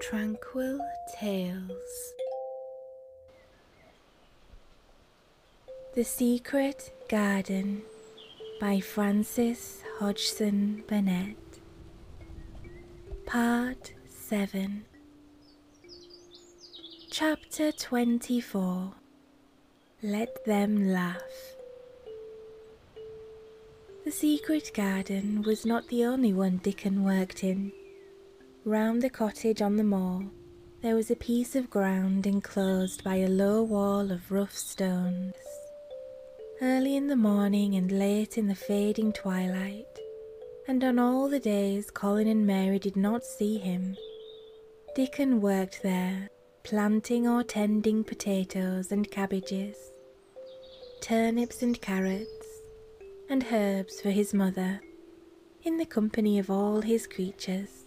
Tranquil Tales The Secret Garden by Frances Hodgson Burnett Part 7 Chapter 24 Let Them Laugh the secret garden was not the only one Dickon worked in. Round the cottage on the moor, there was a piece of ground enclosed by a low wall of rough stones. Early in the morning and late in the fading twilight, and on all the days Colin and Mary did not see him, Dickon worked there, planting or tending potatoes and cabbages, turnips and carrots, and herbs for his mother. In the company of all his creatures,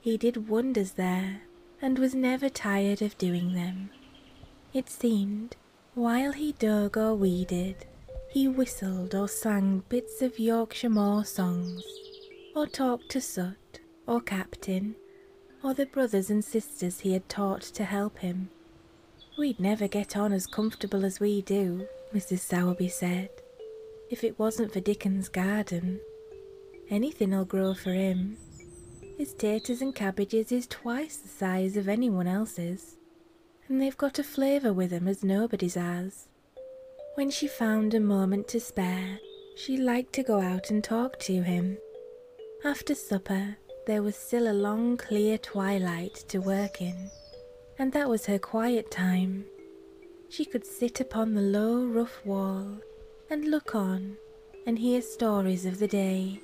he did wonders there and was never tired of doing them. It seemed, while he dug or weeded, he whistled or sang bits of Yorkshire Moor songs, or talked to Soot or Captain, or the brothers and sisters he had taught to help him, We'd never get on as comfortable as we do, Mrs. Sowerby said, if it wasn't for Dickon's garden. Anything'll grow for him. His taters and cabbages is twice the size of any one else's, and they've got a flavour with 'em as nobody's has. When she found a moment to spare, she liked to go out and talk to him, after supper, there was still a long, clear twilight to work in, and that was her quiet time. She could sit upon the low, rough wall and look on and hear stories of the day.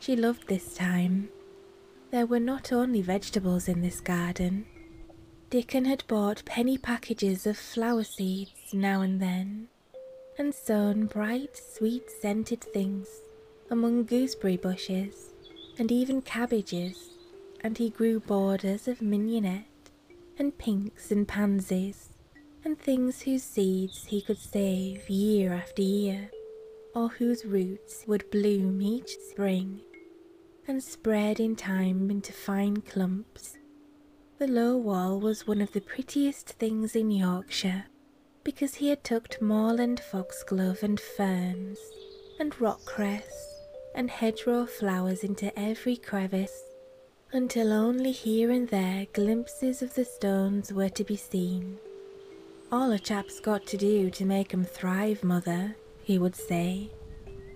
She loved this time. There were not only vegetables in this garden. Dickon had bought penny packages of flower seeds now and then, and sown bright, sweet scented things among gooseberry bushes and even cabbages, and he grew borders of mignonette and pinks and pansies and things whose seeds he could save year after year, or whose roots would bloom each spring and spread in time into fine clumps. The low wall was one of the prettiest things in Yorkshire, because he had tucked moorland foxglove and ferns and rockcress and hedgerow flowers into every crevice until only here and there glimpses of the stones were to be seen. All a chap's got to do to make 'em thrive, mother, he would say,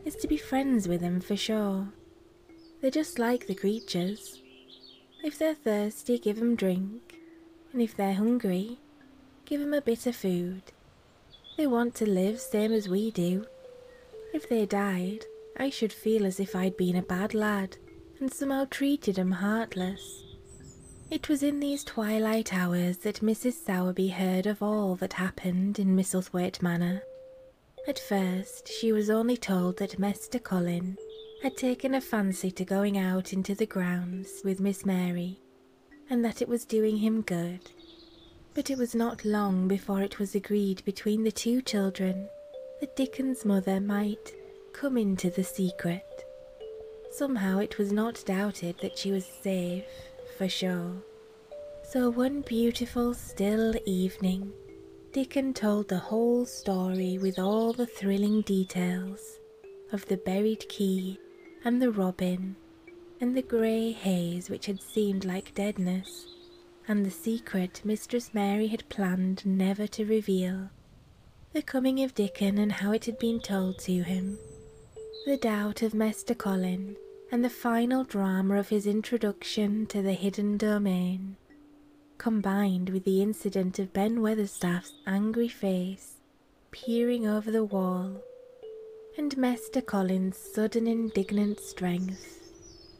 is to be friends with 'em for sure. They're just like the creatures. If they're thirsty, give 'em drink, and if they're hungry, give 'em a bit of food. They want to live same as we do. If they died, I should feel as if I'd been a bad lad and somehow treated 'em heartless. It was in these twilight hours that Mrs. Sowerby heard of all that happened in Misselthwaite Manor. At first, she was only told that Mester Colin had taken a fancy to going out into the grounds with Miss Mary, and that it was doing him good. But it was not long before it was agreed between the two children that Dickon's mother might come into the secret. Somehow it was not doubted that she was safe, for sure. So one beautiful, still evening, Dickon told the whole story with all the thrilling details of the buried key and the robin and the grey haze which had seemed like deadness and the secret mistress mary had planned never to reveal the coming of dickon and how it had been told to him the doubt of mester colin and the final drama of his introduction to the hidden domain combined with the incident of ben weatherstaff's angry face peering over the wall, and Master Collins's sudden indignant strength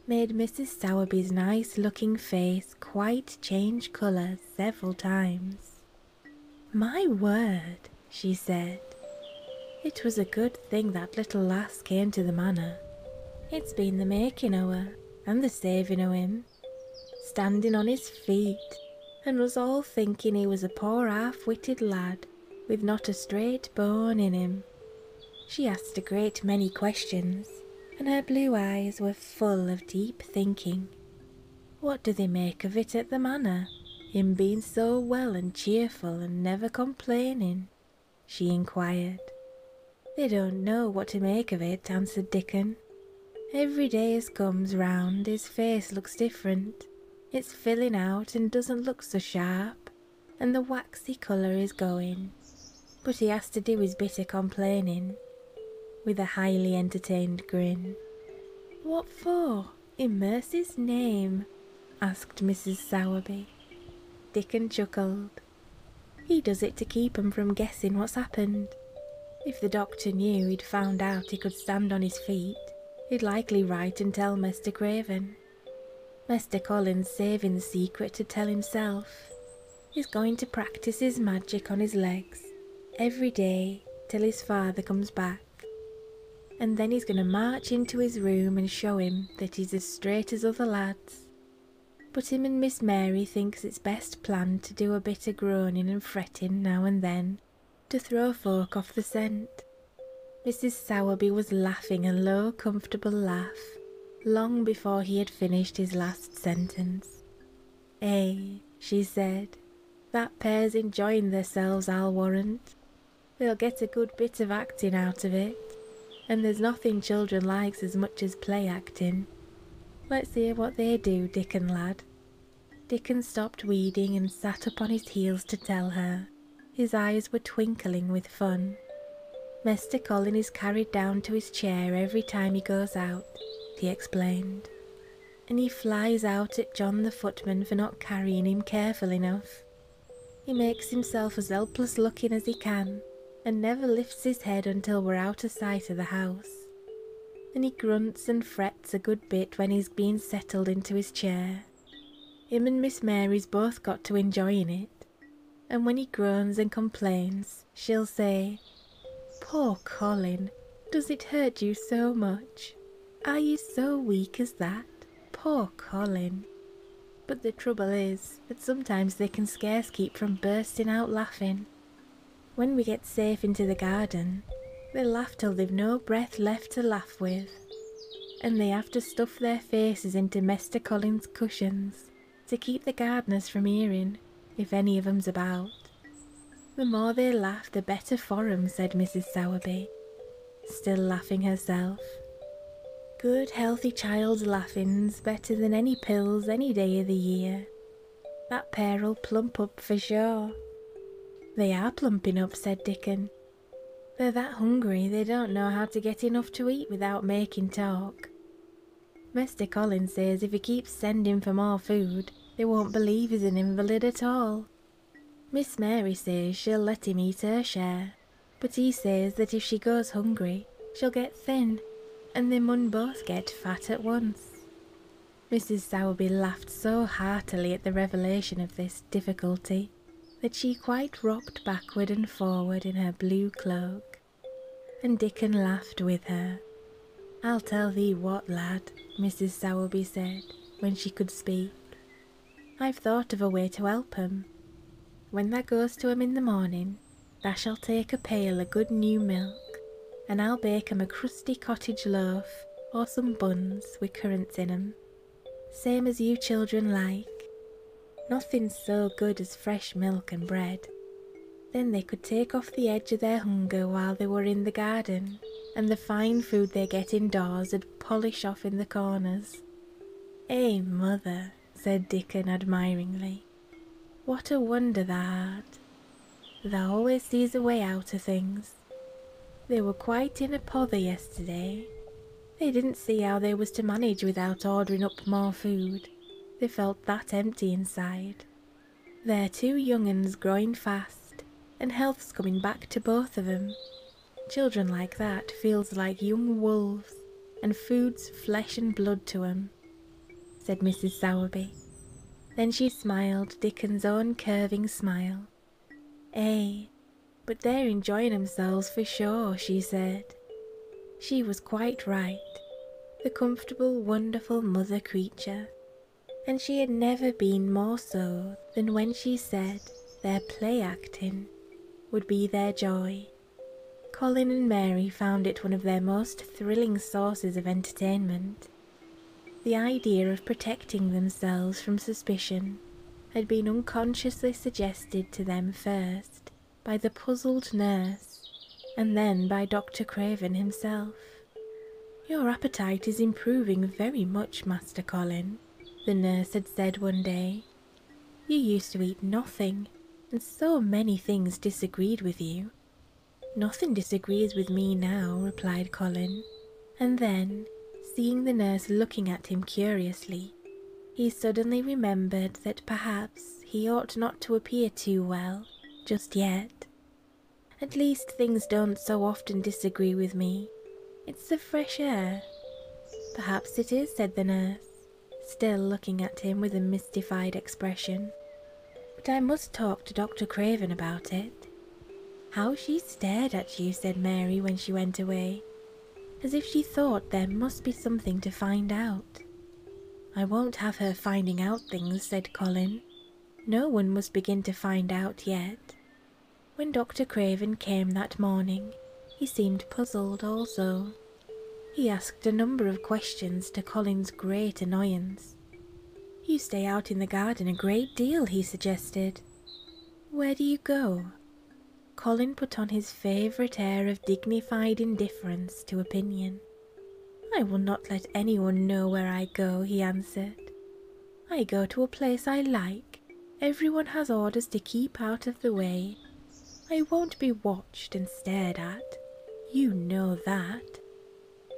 made Mrs. Sowerby's nice looking face quite change colour several times. My word, she said. It was a good thing that little lass came to the manor. It's been the making o' her, and the saving o' him, standing on his feet, and was all thinking he was a poor half-witted lad with not a straight bone in him. She asked a great many questions, and her blue eyes were full of deep thinking. What do they make of it at the manor, him being so well and cheerful and never complaining? she inquired. They don't know what to make of it, answered Dickon. Every day as comes round, his face looks different. It's filling out and doesn't look so sharp, and the waxy colour is going. But he has to do his bit of complaining, with a highly entertained grin. What for? In mercy's name? asked Mrs. Sowerby. Dickon chuckled. He does it to keep 'em from guessing what's happened. If the doctor knew he'd found out he could stand on his feet, he'd likely write and tell Mr. Craven. Mr. Collins saving the secret to tell himself. He's going to practice his magic on his legs every day till his father comes back. And then he's going to march into his room and show him that he's as straight as other lads. But him and Miss Mary thinks it's best plan to do a bit o' groaning and fretting fretting now and then to throw a fork off the scent. Mrs. Sowerby was laughing a low, comfortable laugh long before he had finished his last sentence. Eh, she said, that pair's enjoying themselves, I'll warrant. They'll get a good bit of acting out of it, and there's nothing children likes as much as play acting. Let's hear what they do, Dickon lad. Dickon stopped weeding and sat upon his heels to tell her. His eyes were twinkling with fun. Mr. Colin is carried down to his chair every time he goes out, he explained, and he flies out at John the footman for not carrying him careful enough. He makes himself as helpless looking as he can and never lifts his head until we're out of sight of the house. And he grunts and frets frets a good bit when he's been settled into his chair. Him and Miss Mary's both got to enjoying it, and when he groans and complains, she'll say, Poor Colin, does it hurt you so much? Are you so weak as that? Poor Colin. But the trouble is that sometimes they can scarce keep from bursting out laughing. When we get safe into the garden, they laugh till they've no breath left to laugh with, and they have to stuff their faces into Mester Collins's cushions to keep the gardeners from hearing if any of 'em's about. The more they laugh, the better for 'em, said Mrs. Sowerby, still laughing herself. Good healthy child's laughing's better than any pills any day of the year, that pair'll plump up for sure. They are plumping up, said Dickon. They're that hungry they don't know how to get enough to eat without making talk. Mister Collins says if he keeps sending for more food, they won't believe he's an invalid at all. Miss Mary says she'll let him eat her share, but he says that if she goes hungry, she'll get thin, and they mun both get fat at once. Mrs. Sowerby laughed so heartily at the revelation of this difficulty that she quite rocked backward and forward in her blue cloak, and Dickon laughed with her. I'll tell thee what, lad, Mrs. Sowerby said when she could speak. I've thought of a way to help 'em. When thou goes to 'em in the morning, thou shalt take a pail o' good new milk and I'll bake 'em a crusty cottage loaf or some buns with currants in 'em, same as you children like. Nothing's so good as fresh milk and bread. Then they could take off the edge of their hunger while they were in the garden, and the fine food they get indoors indoors 'ud polish off in the corners. Eh, mother, said Dickon admiringly, what a wonder thou Thou always sees a way out o things. They were quite in a pother yesterday. They didn't see how they was to manage without ordering up more food. They felt that empty inside. They're two young uns growing fast, and health's coming back to both of 'em. Children like that feels like young wolves, and food's flesh and blood to 'em, said Mrs. Sowerby. Then she smiled Dickon's own curving smile. Eh, but they're enjoying themselves for sure, she said. She was quite right, the comfortable, wonderful mother creature. And she had never been more so than when she said their play acting would be their joy. Colin and Mary found it one of their most thrilling sources of entertainment. The idea of protecting themselves from suspicion had been unconsciously suggested to them first by the puzzled nurse and then by Dr. Craven himself. Your appetite is improving very much, Master Colin, the nurse had said one day. You used to eat nothing, and so many things disagreed with you. Nothing disagrees with me now, replied Colin, and then, seeing the nurse looking at him curiously, he suddenly remembered that perhaps he ought not to appear too well just yet. At least things don't so often disagree with me. It's the fresh air. Perhaps it is, said the nurse, still looking at him with a mystified expression. But I must talk to Dr. Craven about it. How she stared at you, said Mary when she went away, as if she thought there must be something to find out. I won't have her finding out things, said Colin. No one must begin to find out yet. When Dr. Craven came that morning, he seemed puzzled also. He asked a number of questions to Colin's great annoyance. You stay out in the garden a great deal, he suggested. Where do you go? Colin put on his favourite air of dignified indifference to opinion. I will not let anyone know where I go, he answered. I go to a place I like. Everyone has orders to keep out of the way. I won't be watched and stared at. You know that.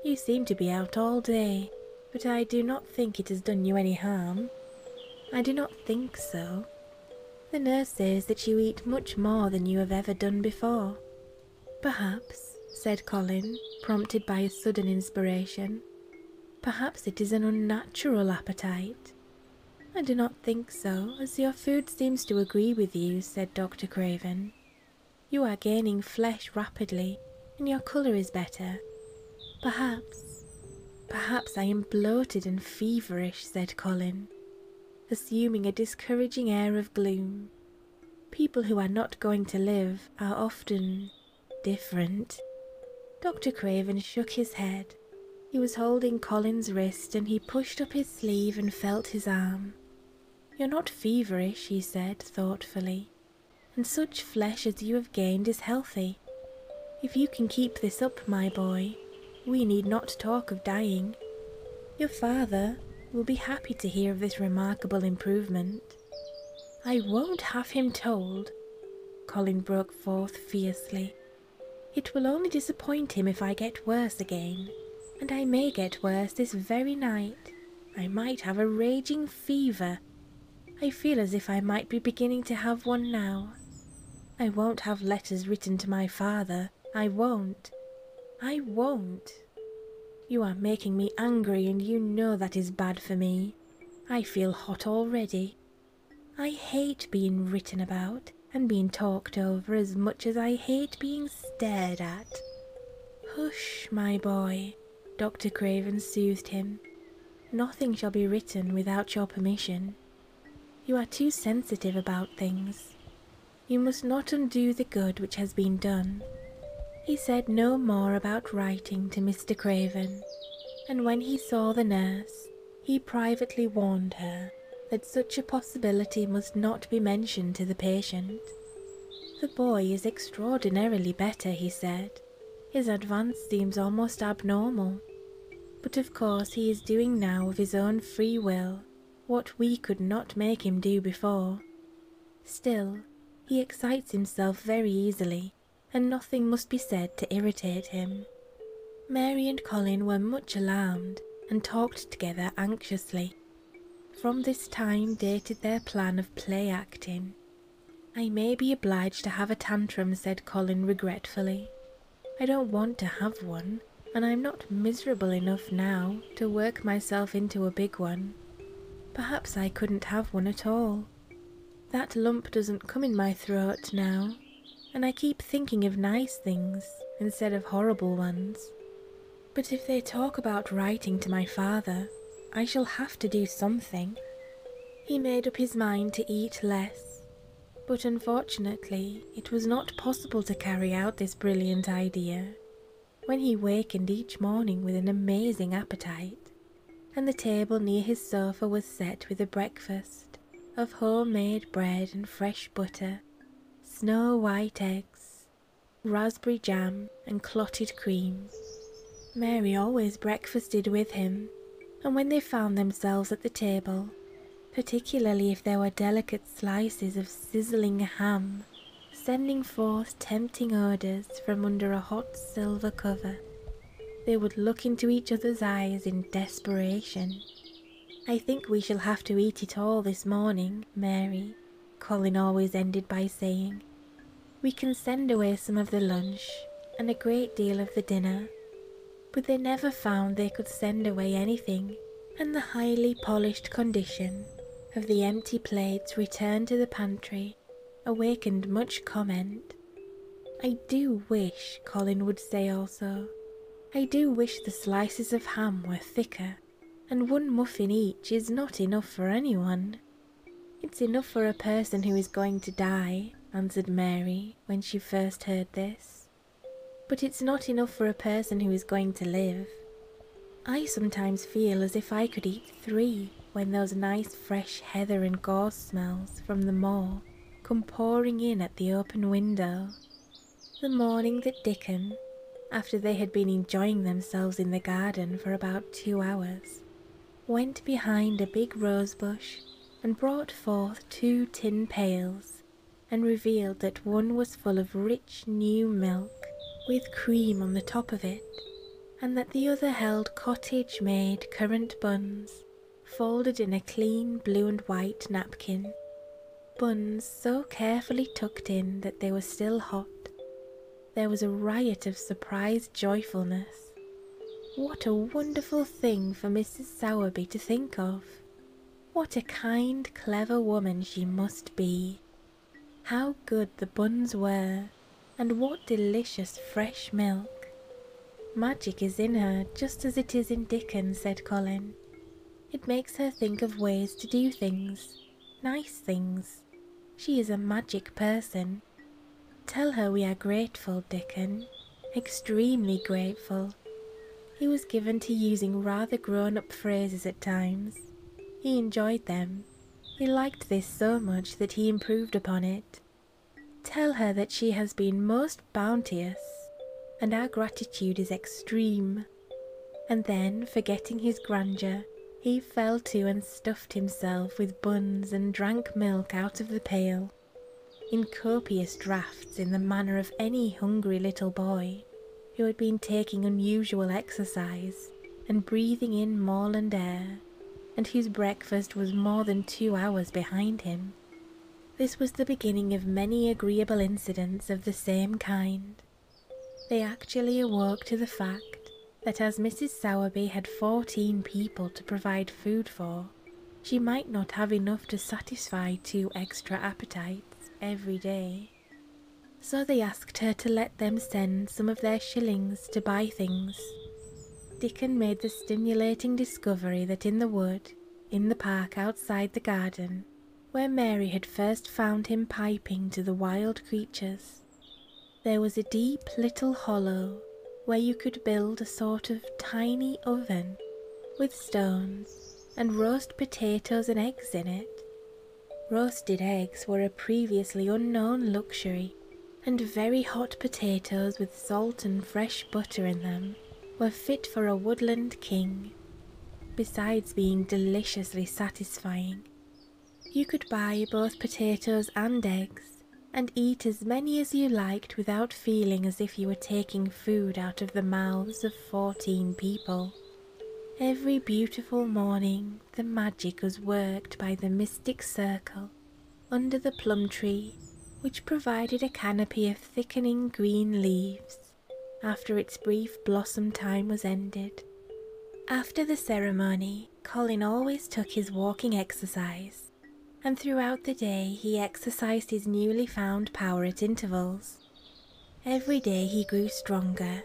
You seem to be out all day, but I do not think it has done you any harm. I do not think so. The nurse says that you eat much more than you have ever done before. Perhaps, said Colin, prompted by a sudden inspiration, perhaps it is an unnatural appetite. I do not think so, as your food seems to agree with you, said Dr. Craven. You are gaining flesh rapidly, and your colour is better. Perhaps, perhaps I am bloated and feverish, said Colin, assuming a discouraging air of gloom. People who are not going to live are often different. Dr. Craven shook his head. He was holding Colin's wrist and he pushed up his sleeve and felt his arm. You're not feverish, he said thoughtfully and such flesh as you have gained is healthy. If you can keep this up, my boy, we need not talk of dying. Your father will be happy to hear of this remarkable improvement. I won't have him told, Colin broke forth fiercely. It will only disappoint him if I get worse again, and I may get worse this very night. I might have a raging fever. I feel as if I might be beginning to have one now. I won't have letters written to my father. I won't. I won't. You are making me angry, and you know that is bad for me. I feel hot already. I hate being written about and being talked over as much as I hate being stared at. Hush, my boy, Dr. Craven soothed him. Nothing shall be written without your permission. You are too sensitive about things. You must not undo the good which has been done. He said no more about writing to Mr. Craven, and when he saw the nurse, he privately warned her that such a possibility must not be mentioned to the patient the boy is extraordinarily better, he said. His advance seems almost abnormal. But of course, he is doing now of his own free will what we could not make him do before. Still, he excites himself very easily, and nothing must be said to irritate him. Mary and Colin were much alarmed and talked together anxiously. From this time dated their plan of play acting, I may be obliged to have a tantrum, said Colin regretfully. I don't want to have one, and I'm not miserable enough now to work myself into a big one. Perhaps I couldn't have one at all. That lump doesn't come in my throat now, and I keep thinking of nice things instead of horrible ones. But if they talk about writing to my father, I shall have to do something. He made up his mind to eat less, but unfortunately it was not possible to carry out this brilliant idea when he wakened each morning with an amazing appetite, and the table near his sofa was set with a breakfast of homemade bread and fresh butter, snow white eggs, raspberry jam, and clotted creams. Mary always breakfasted with him, and when they found themselves at the table, particularly if there were delicate slices of sizzling ham, sending forth tempting odours from under a hot silver cover, they would look into each other's eyes in desperation. I think we shall have to eat it all this morning, Mary, Colin always ended by saying, we can send away some of the lunch and a great deal of the dinner, but they never found they could send away anything, and the highly polished condition of the empty plates returned to the pantry awakened much comment. I do wish, Colin would say also, I do wish the slices of ham were thicker, and one muffin each is not enough for anyone. It's enough for a person who is going to die, answered Mary when she first heard this. But it's not enough for a person who is going to live. I sometimes feel as if I could eat three when those nice fresh heather and gorse smells from the moor come pouring in at the open window. The morning that Dickon, after they had been enjoying themselves in the garden for about two hours, went behind a big rose bush and brought forth two tin pails and revealed that one was full of rich new milk with cream on the top of it, and that the other held cottage made currant buns folded in a clean blue and white napkin. Buns so carefully tucked in that they were still hot, there was a riot of surprised joyfulness. What a wonderful thing for Mrs. Sowerby to think of! What a kind, clever woman she must be! How good the buns were, and what delicious fresh milk! Magic is in her just as it is in Dickens, said Colin. It makes her think of ways to do things, nice things. She is a magic person, Tell her we are grateful, Dickon, extremely grateful. He was given to using rather grown up phrases at times. He enjoyed them. He liked this so much that he improved upon it. Tell her that she has been most bounteous, and our gratitude is extreme. And then, forgetting his grandeur, he fell to and stuffed himself with buns and drank milk out of the pail, in copious draughts in the manner of any hungry little boy who had been taking unusual exercise and breathing in mauland air, and whose breakfast was more than two hours behind him. This was the beginning of many agreeable incidents of the same kind. They actually awoke to the fact that as Mrs. Sowerby had fourteen people to provide food for, she might not have enough to satisfy two extra appetites every day. So they asked her to let them send some of their shillings to buy things. Dickon made the stimulating discovery that in the wood, in the park outside the garden, where Mary had first found him piping to the wild creatures, there was a deep little hollow where you could build a sort of tiny oven with stones and roast potatoes and eggs in it. Roasted eggs were a previously unknown luxury, and very hot potatoes with salt and fresh butter in them were fit for a woodland king, besides being deliciously satisfying you could buy both potatoes and eggs and eat as many as you liked without feeling as if you were taking food out of the mouths of fourteen people. Every beautiful morning the magic was worked by the mystic circle under the plum tree which provided a canopy of thickening green leaves after its brief blossom time was ended. After the ceremony, Colin always took his walking exercise, and throughout the day he exercised his newly found power at intervals. Every day he grew stronger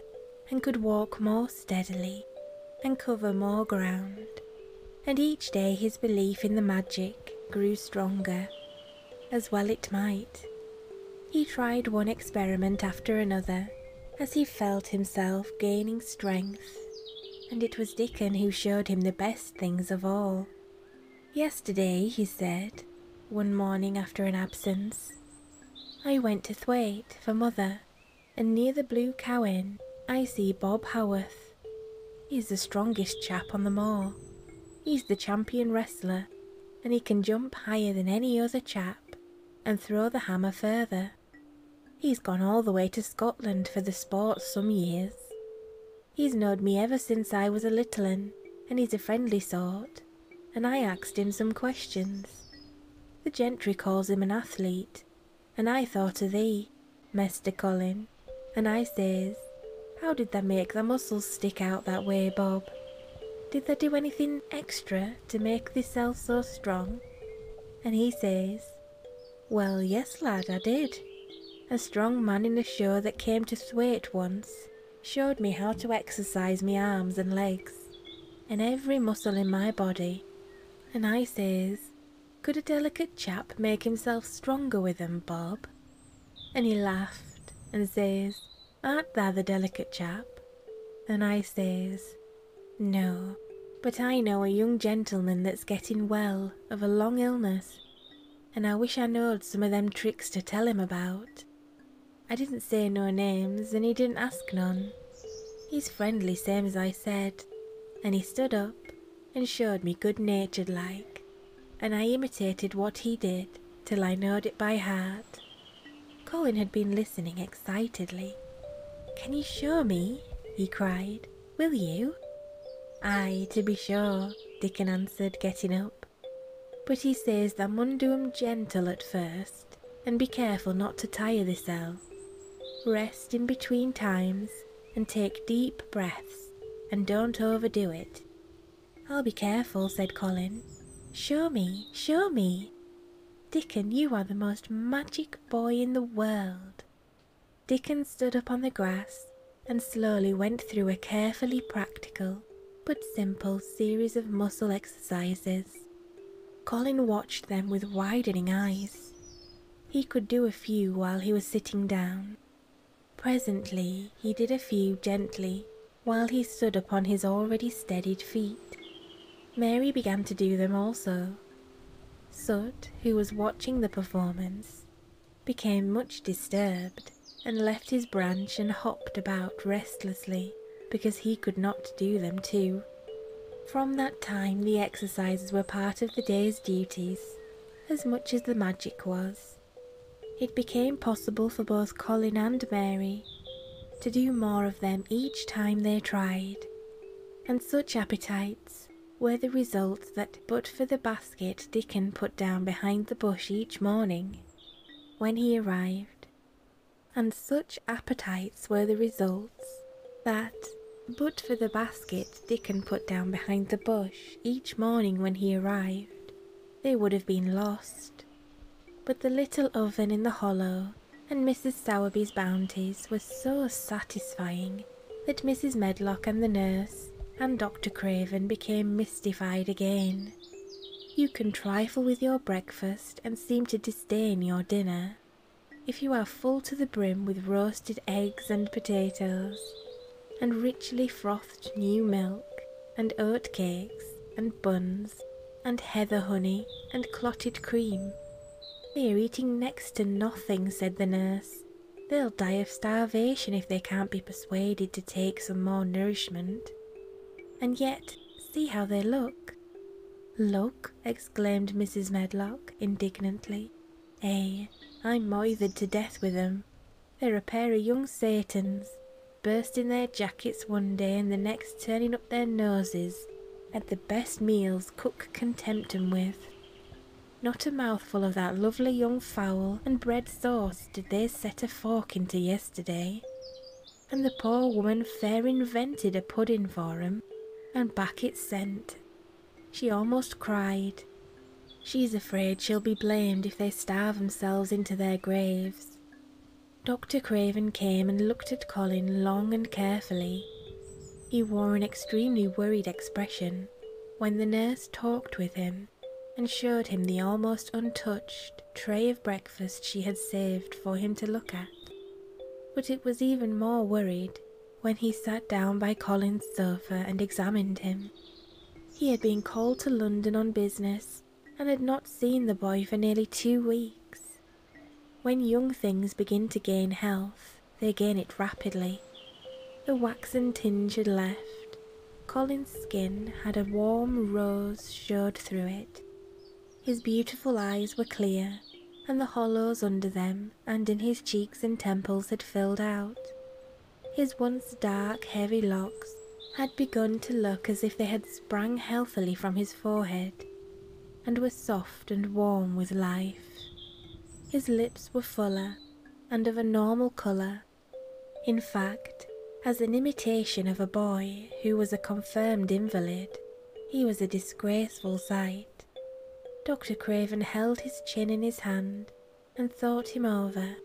and could walk more steadily and cover more ground, and each day his belief in the magic grew stronger, as well it might. He tried one experiment after another as he felt himself gaining strength, and it was Dickon who showed him the best things of all. Yesterday, he said, one morning after an absence, I went to Thwaite for mother, and near the Blue Cow Inn I see Bob Howarth. He's the strongest chap on the moor. He's the champion wrestler, and he can jump higher than any other chap and throw the hammer further. He's gone all the way to Scotland for the sport some years. He's knowed me ever since I was a little un, and he's a friendly sort, and I axed him some questions. The gentry calls him an athlete, and I thought o' thee, Mester Colin, and I says, How did they make their muscles stick out that way, Bob? Did they do anything extra to make thyself so strong? And he says, well, yes, lad, I did. A strong man in the shore that came to Thwaite once showed me how to exercise me arms and legs and every muscle in my body, and I says, Could a delicate chap make himself stronger with with 'em, Bob? And he laughed and says, Art thou the delicate chap? And I says, no, but I know a young gentleman that's getting well of a long illness, and I wish I knowed some of them tricks to tell him about. I didn't say no names, and he didn't ask none. He's friendly, same as I said, and he stood up and showed me good natured like, and I imitated what he did till I knowed it by heart. Colin had been listening excitedly. Can you show me? he cried. Will you? Ay, to be sure, Dickon answered, getting up. But he says thou mun do do 'em gentle at first, and be careful not to tire thyself. Rest in between times, and take deep breaths, and don't overdo it. I'll be careful, said Colin. Show me, show me. Dickon, you are the most magic boy in the world. Dickon stood up on the grass and slowly went through a carefully practical but simple series of muscle exercises. Colin watched them with widening eyes. He could do a few while he was sitting down. Presently, he did a few gently while he stood upon his already steadied feet. Mary began to do them also, Soot, who was watching the performance, became much disturbed and left his branch and hopped about restlessly because he could not do them too. From that time, the exercises were part of the day's duties as much as the magic was. It became possible for both Colin and Mary to do more of them each time they tried, and such appetites were the result that but for the basket Dickon put down behind the bush each morning when he arrived, and such appetites were the results that but for the basket Dickon put down behind the bush each morning when he arrived, they would have been lost. But the little oven in the hollow and Mrs. Sowerby's bounties were so satisfying that Mrs. Medlock and the nurse and Dr. Craven became mystified again. You can trifle with your breakfast and seem to disdain your dinner if you are full to the brim with roasted eggs and potatoes, and richly frothed new milk, and oat cakes, and buns, and heather honey, and clotted cream, they are eating next to nothing, said the nurse. They'll die of starvation if they can't be persuaded to take some more nourishment. And yet, see how they look. Look, exclaimed Mrs. Medlock indignantly. "Ay, eh, I'm moithered to death with 'em. They're a pair of young Satans, bursting their jackets one day and the next turning up their noses at the best meals cook contempt him with. Not a mouthful of that lovely young fowl and bread sauce did they set a fork into yesterday. And the poor woman fair invented a pudding for him, and back it sent. She almost cried. She's afraid she'll be blamed if they starve themselves into their graves. Dr. Craven came and looked at Colin long and carefully. He wore an extremely worried expression when the nurse talked with him and showed him the almost untouched tray of breakfast she had saved for him to look at. But it was even more worried when he sat down by Colin's sofa and examined him. He had been called to London on business and had not seen the boy for nearly two weeks. When young things begin to gain health, they gain it rapidly. The waxen tinge had left. Colin's skin had a warm rose showed through it. His beautiful eyes were clear, and the hollows under them and in his cheeks and temples had filled out. His once dark, heavy locks had begun to look as if they had sprung healthily from his forehead, and were soft and warm with life. His lips were fuller and of a normal colour, in fact, as an imitation of a boy who was a confirmed invalid, he was a disgraceful sight. Dr. Craven held his chin in his hand and thought him over.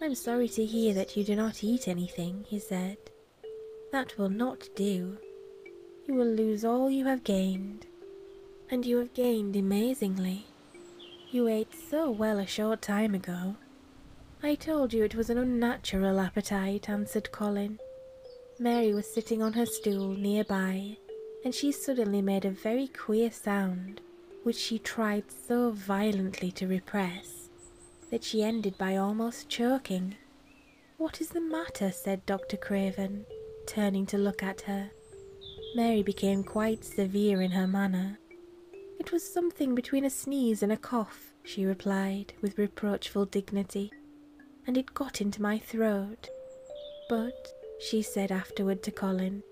I'm sorry to hear that you do not eat anything, he said. That will not do. You will lose all you have gained. And you have gained amazingly. You ate so well a short time ago. I told you it was an unnatural appetite, answered Colin. Mary was sitting on her stool near by, and she suddenly made a very queer sound, which she tried so violently to repress that she ended by almost choking. What is the matter? said Dr. Craven, turning to look at her. Mary became quite severe in her manner. It was something between a sneeze and a cough, she replied with reproachful dignity, and it got into my throat. But, she said afterward to Colin,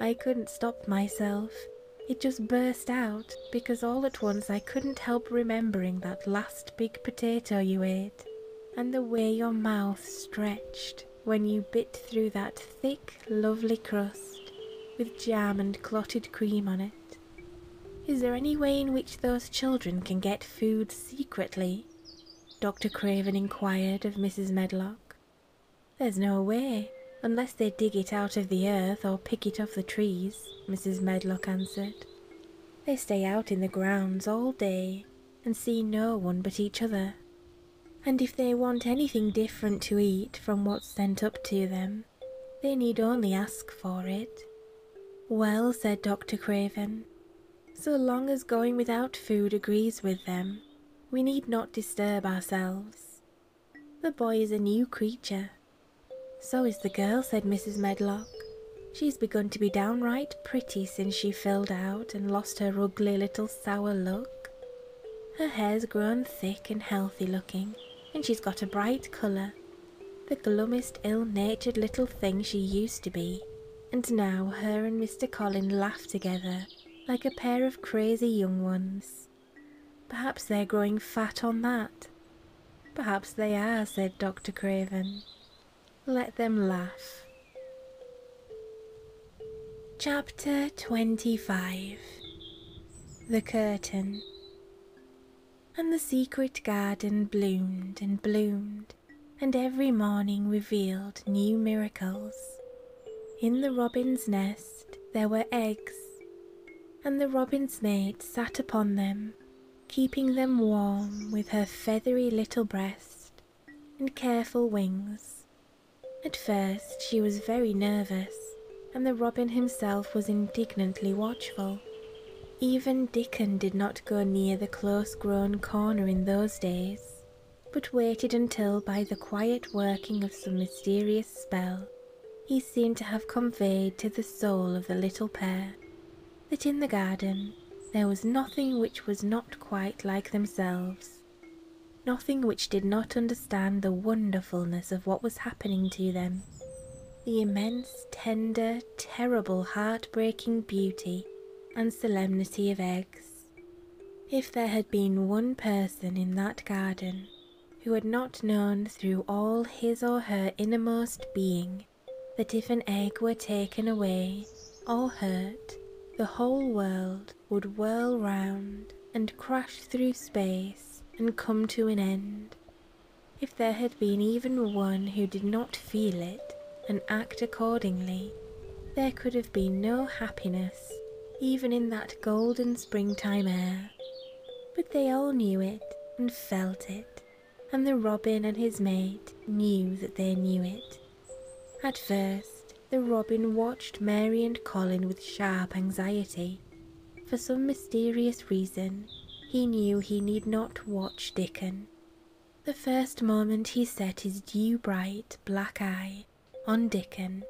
I couldn't stop myself. It just burst out because all at once I couldn't help remembering that last big potato you ate and the way your mouth stretched when you bit through that thick, lovely crust with jam and clotted cream on it. Is there any way in which those children can get food secretly? Dr. Craven inquired of Mrs. Medlock. There's no way, unless they dig it out of the earth or pick it off the trees, Mrs. Medlock answered. They stay out in the grounds all day, and see no one but each other. And if they want anything different to eat from what's sent up to them, they need only ask for it. Well, said Dr. Craven, so long as going without food agrees with them, we need not disturb ourselves. The boy is a new creature. So is the girl, said Mrs. Medlock. She's begun to be downright pretty since she filled out and lost her ugly little sour look. Her hair's grown thick and healthy looking, and she's got a bright colour, the glummest, ill natured little thing she used to be. And now her and Mr. Colin laugh together like a pair of crazy young ones. Perhaps they're growing fat on that. Perhaps they are, said Dr. Craven. Let them laugh. Chapter 25 The Curtain And the secret garden bloomed and bloomed, and every morning revealed new miracles. In the robin's nest there were eggs, and the robin's maid sat upon them, keeping them warm with her feathery little breast and careful wings. At first she was very nervous, and the robin himself was indignantly watchful. Even Dickon did not go near the close-grown corner in those days, but waited until, by the quiet working of some mysterious spell, he seemed to have conveyed to the soul of the little pair that in the garden there was nothing which was not quite like themselves, nothing which did not understand the wonderfulness of what was happening to them, the immense, tender, terrible, heart-breaking beauty and solemnity of eggs. If there had been one person in that garden who had not known through all his or her innermost being that if an egg were taken away or hurt, the whole world would whirl round and crash through space and come to an end. If there had been even one who did not feel it and act accordingly, there could have been no happiness even in that golden springtime air. But they all knew it and felt it and the robin and his mate knew that they knew it. At first, the robin watched Mary and Colin with sharp anxiety. For some mysterious reason, he knew he need not watch Dickon. The first moment he set his dew-bright black eye on Dickon,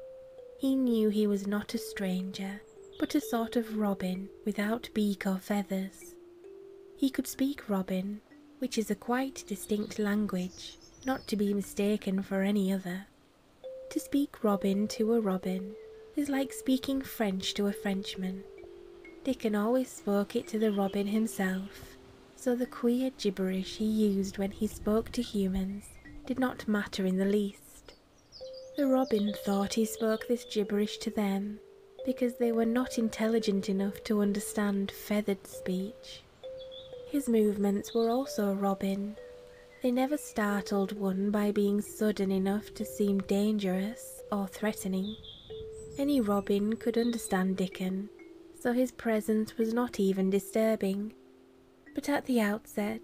he knew he was not a stranger, but a sort of robin without beak or feathers. He could speak robin, which is a quite distinct language, not to be mistaken for any other. To speak robin to a robin is like speaking French to a Frenchman. Dickon always spoke it to the robin himself, so the queer gibberish he used when he spoke to humans did not matter in the least. The robin thought he spoke this gibberish to them because they were not intelligent enough to understand feathered speech. His movements were also a robin. They never startled one by being sudden enough to seem dangerous or threatening. Any robin could understand Dickon, so his presence was not even disturbing. But at the outset,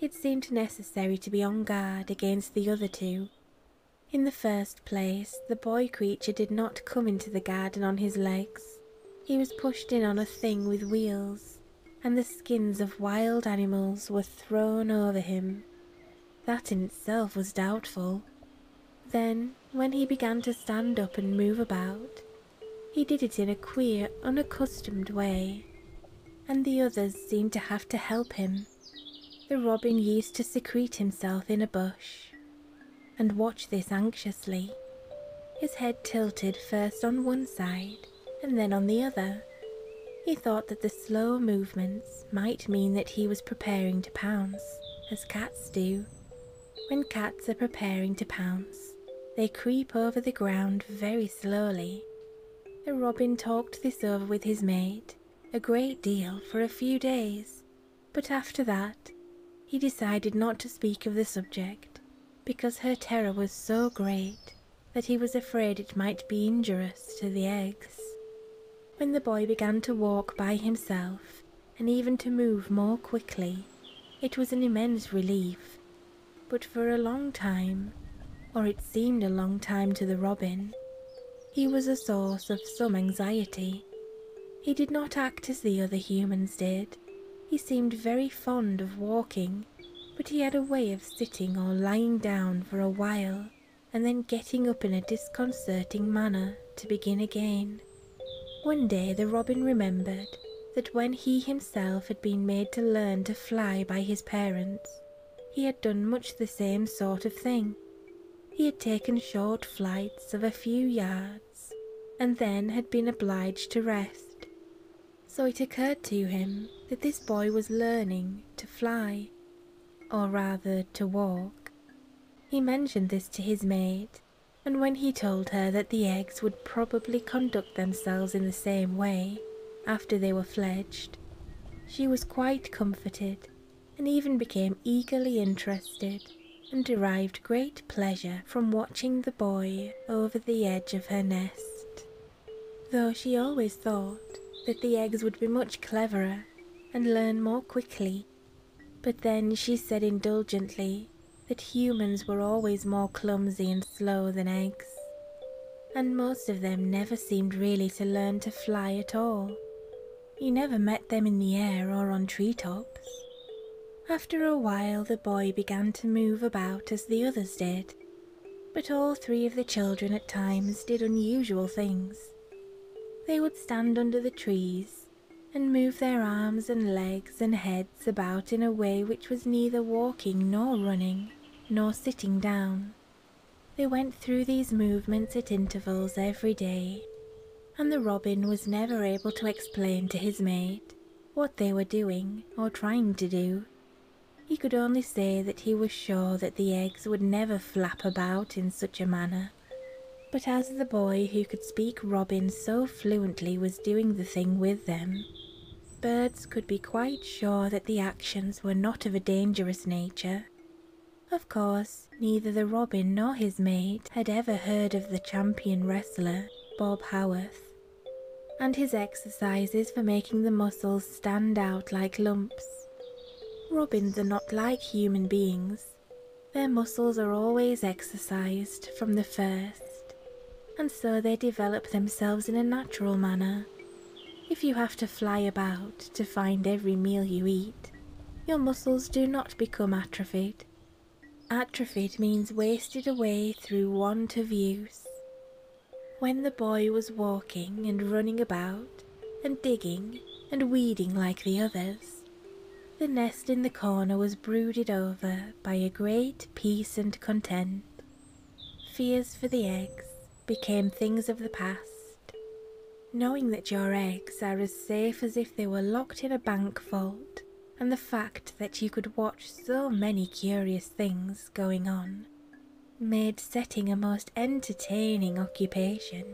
it seemed necessary to be on guard against the other two. In the first place, the boy creature did not come into the garden on his legs. He was pushed in on a thing with wheels, and the skins of wild animals were thrown over him. That in itself was doubtful. Then, when he began to stand up and move about, he did it in a queer, unaccustomed way, and the others seemed to have to help him. The robin used to secrete himself in a bush, and watched this anxiously, his head tilted first on one side and then on the other. He thought that the slow movements might mean that he was preparing to pounce, as cats do. When cats are preparing to pounce, they creep over the ground very slowly. The robin talked this over with his mate a great deal for a few days but after that he decided not to speak of the subject, because her terror was so great that he was afraid it might be injurious to the eggs. When the boy began to walk by himself, and even to move more quickly, it was an immense relief. But for a long time, or it seemed a long time to the robin, he was a source of some anxiety. He did not act as the other humans did. He seemed very fond of walking, but he had a way of sitting or lying down for a while and then getting up in a disconcerting manner to begin again. One day the robin remembered that when he himself had been made to learn to fly by his parents, he had done much the same sort of thing. He had taken short flights of a few yards and then had been obliged to rest. So it occurred to him that this boy was learning to fly, or rather to walk. He mentioned this to his maid, and when he told her that the eggs would probably conduct themselves in the same way after they were fledged, she was quite comforted and even became eagerly interested and derived great pleasure from watching the boy over the edge of her nest, though she always thought that the eggs would be much cleverer and learn more quickly. But then she said indulgently that humans were always more clumsy and slow than eggs, and most of them never seemed really to learn to fly at all, he never met them in the air or on tree tops. After a while, the boy began to move about as the others did, but all three of the children at times did unusual things. They would stand under the trees and move their arms and legs and heads about in a way which was neither walking nor running, nor sitting down. They went through these movements at intervals every day, and the robin was never able to explain to his mate what they were doing or trying to do. He could only say that he was sure that the eggs would never flap about in such a manner. But as the boy who could speak robin so fluently was doing the thing with them, birds could be quite sure that the actions were not of a dangerous nature. Of course, Neither the robin nor his mate had ever heard of the champion wrestler, Bob Howarth, and his exercises for making the muscles stand out like lumps. Robins are not like human beings. Their muscles are always exercised from the first, and so they develop themselves in a natural manner. If you have to fly about to find every meal you eat, your muscles do not become atrophied Atrophied means wasted away through want of use. When the boy was walking and running about, and digging and weeding like the others, the nest in the corner was brooded over by a great peace and content. Fears for the eggs became things of the past. Knowing that your eggs are as safe as if they were locked in a bank vault, and the fact that you could watch so many curious things going on made setting a most entertaining occupation.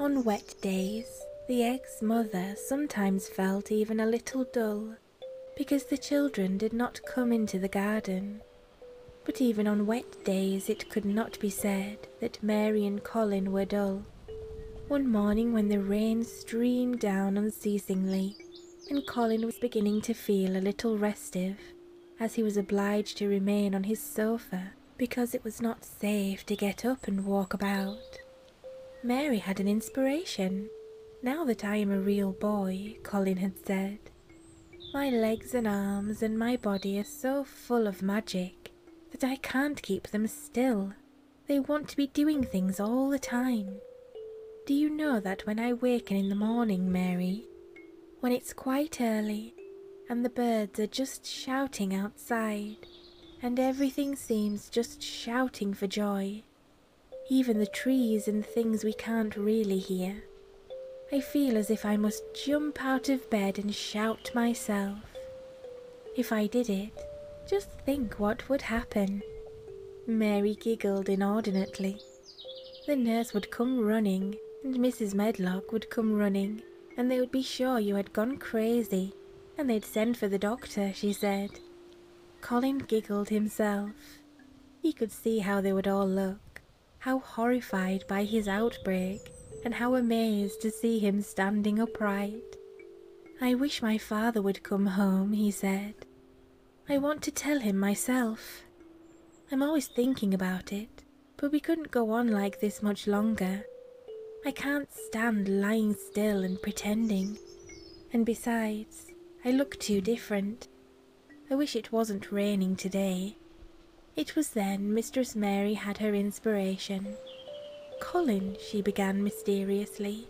On wet days, the egg's mother sometimes felt even a little dull because the children did not come into the garden. But even on wet days, it could not be said that Mary and Colin were dull. One morning when the rain streamed down unceasingly, and Colin was beginning to feel a little restive, as he was obliged to remain on his sofa because it was not safe to get up and walk about. Mary had an inspiration. Now that I am a real boy, Colin had said, my legs and arms and my body are so full of magic that I can't keep them still, they want to be doing things all the time. Do you know that when I waken in the morning, Mary, when it's quite early and the birds are just shouting outside and everything seems just shouting for joy, even the trees and things we can't really hear, I feel as if I must jump out of bed and shout myself. If I did it, just think what would happen. Mary giggled inordinately. The nurse would come running, and Mrs. Medlock would come running, and they would be sure you had gone crazy, and they'd send for the doctor, she said. Colin giggled himself. He could see how they would all look, how horrified by his outbreak, and how amazed to see him standing upright. I wish my father would come home, he said. I want to tell him myself. I'm always thinking about it, but we couldn't go on like this much longer. I can't stand lying still and pretending. And besides, I look too different. I wish it wasn't raining today. It was then Mistress Mary had her inspiration. Colin, she began mysteriously,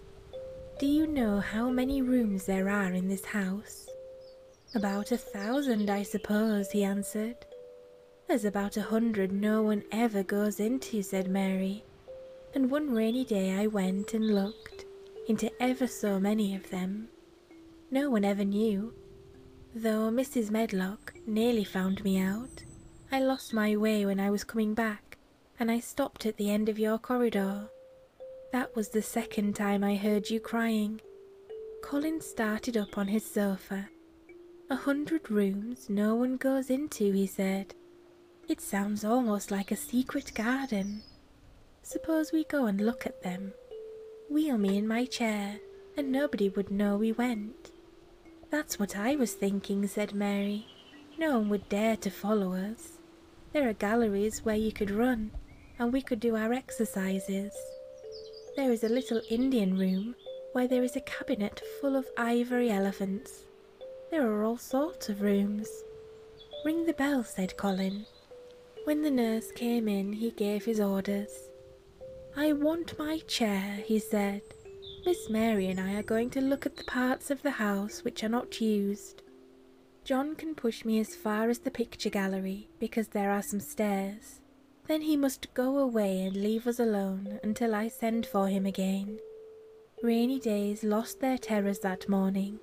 do you know how many rooms there are in this house? About a thousand, I suppose, he answered. There's about a hundred no one ever goes into, said Mary. And one rainy day I went and looked into ever so many of them. No one ever knew, though Mrs. Medlock nearly found me out I lost my way when I was coming back, and I stopped at the end of your corridor. That was the second time I heard you crying. Colin started up on his sofa. A hundred rooms no one goes into, he said. It sounds almost like a secret garden. Suppose we go and look at them. Wheel me in my chair, and nobody would know we went. That's what I was thinking, said Mary. No one would dare to follow us. There are galleries where you could run, and we could do our exercises. There is a little Indian room where there is a cabinet full of ivory elephants. There are all sorts of rooms. Ring the bell, said Colin. When the nurse came in, he gave his orders. I want my chair, he said. Miss Mary and I are going to look at the parts of the house which are not used. John can push me as far as the picture gallery because there are some stairs. Then he must go away and leave us alone until I send for him again. Rainy days lost their terrors that morning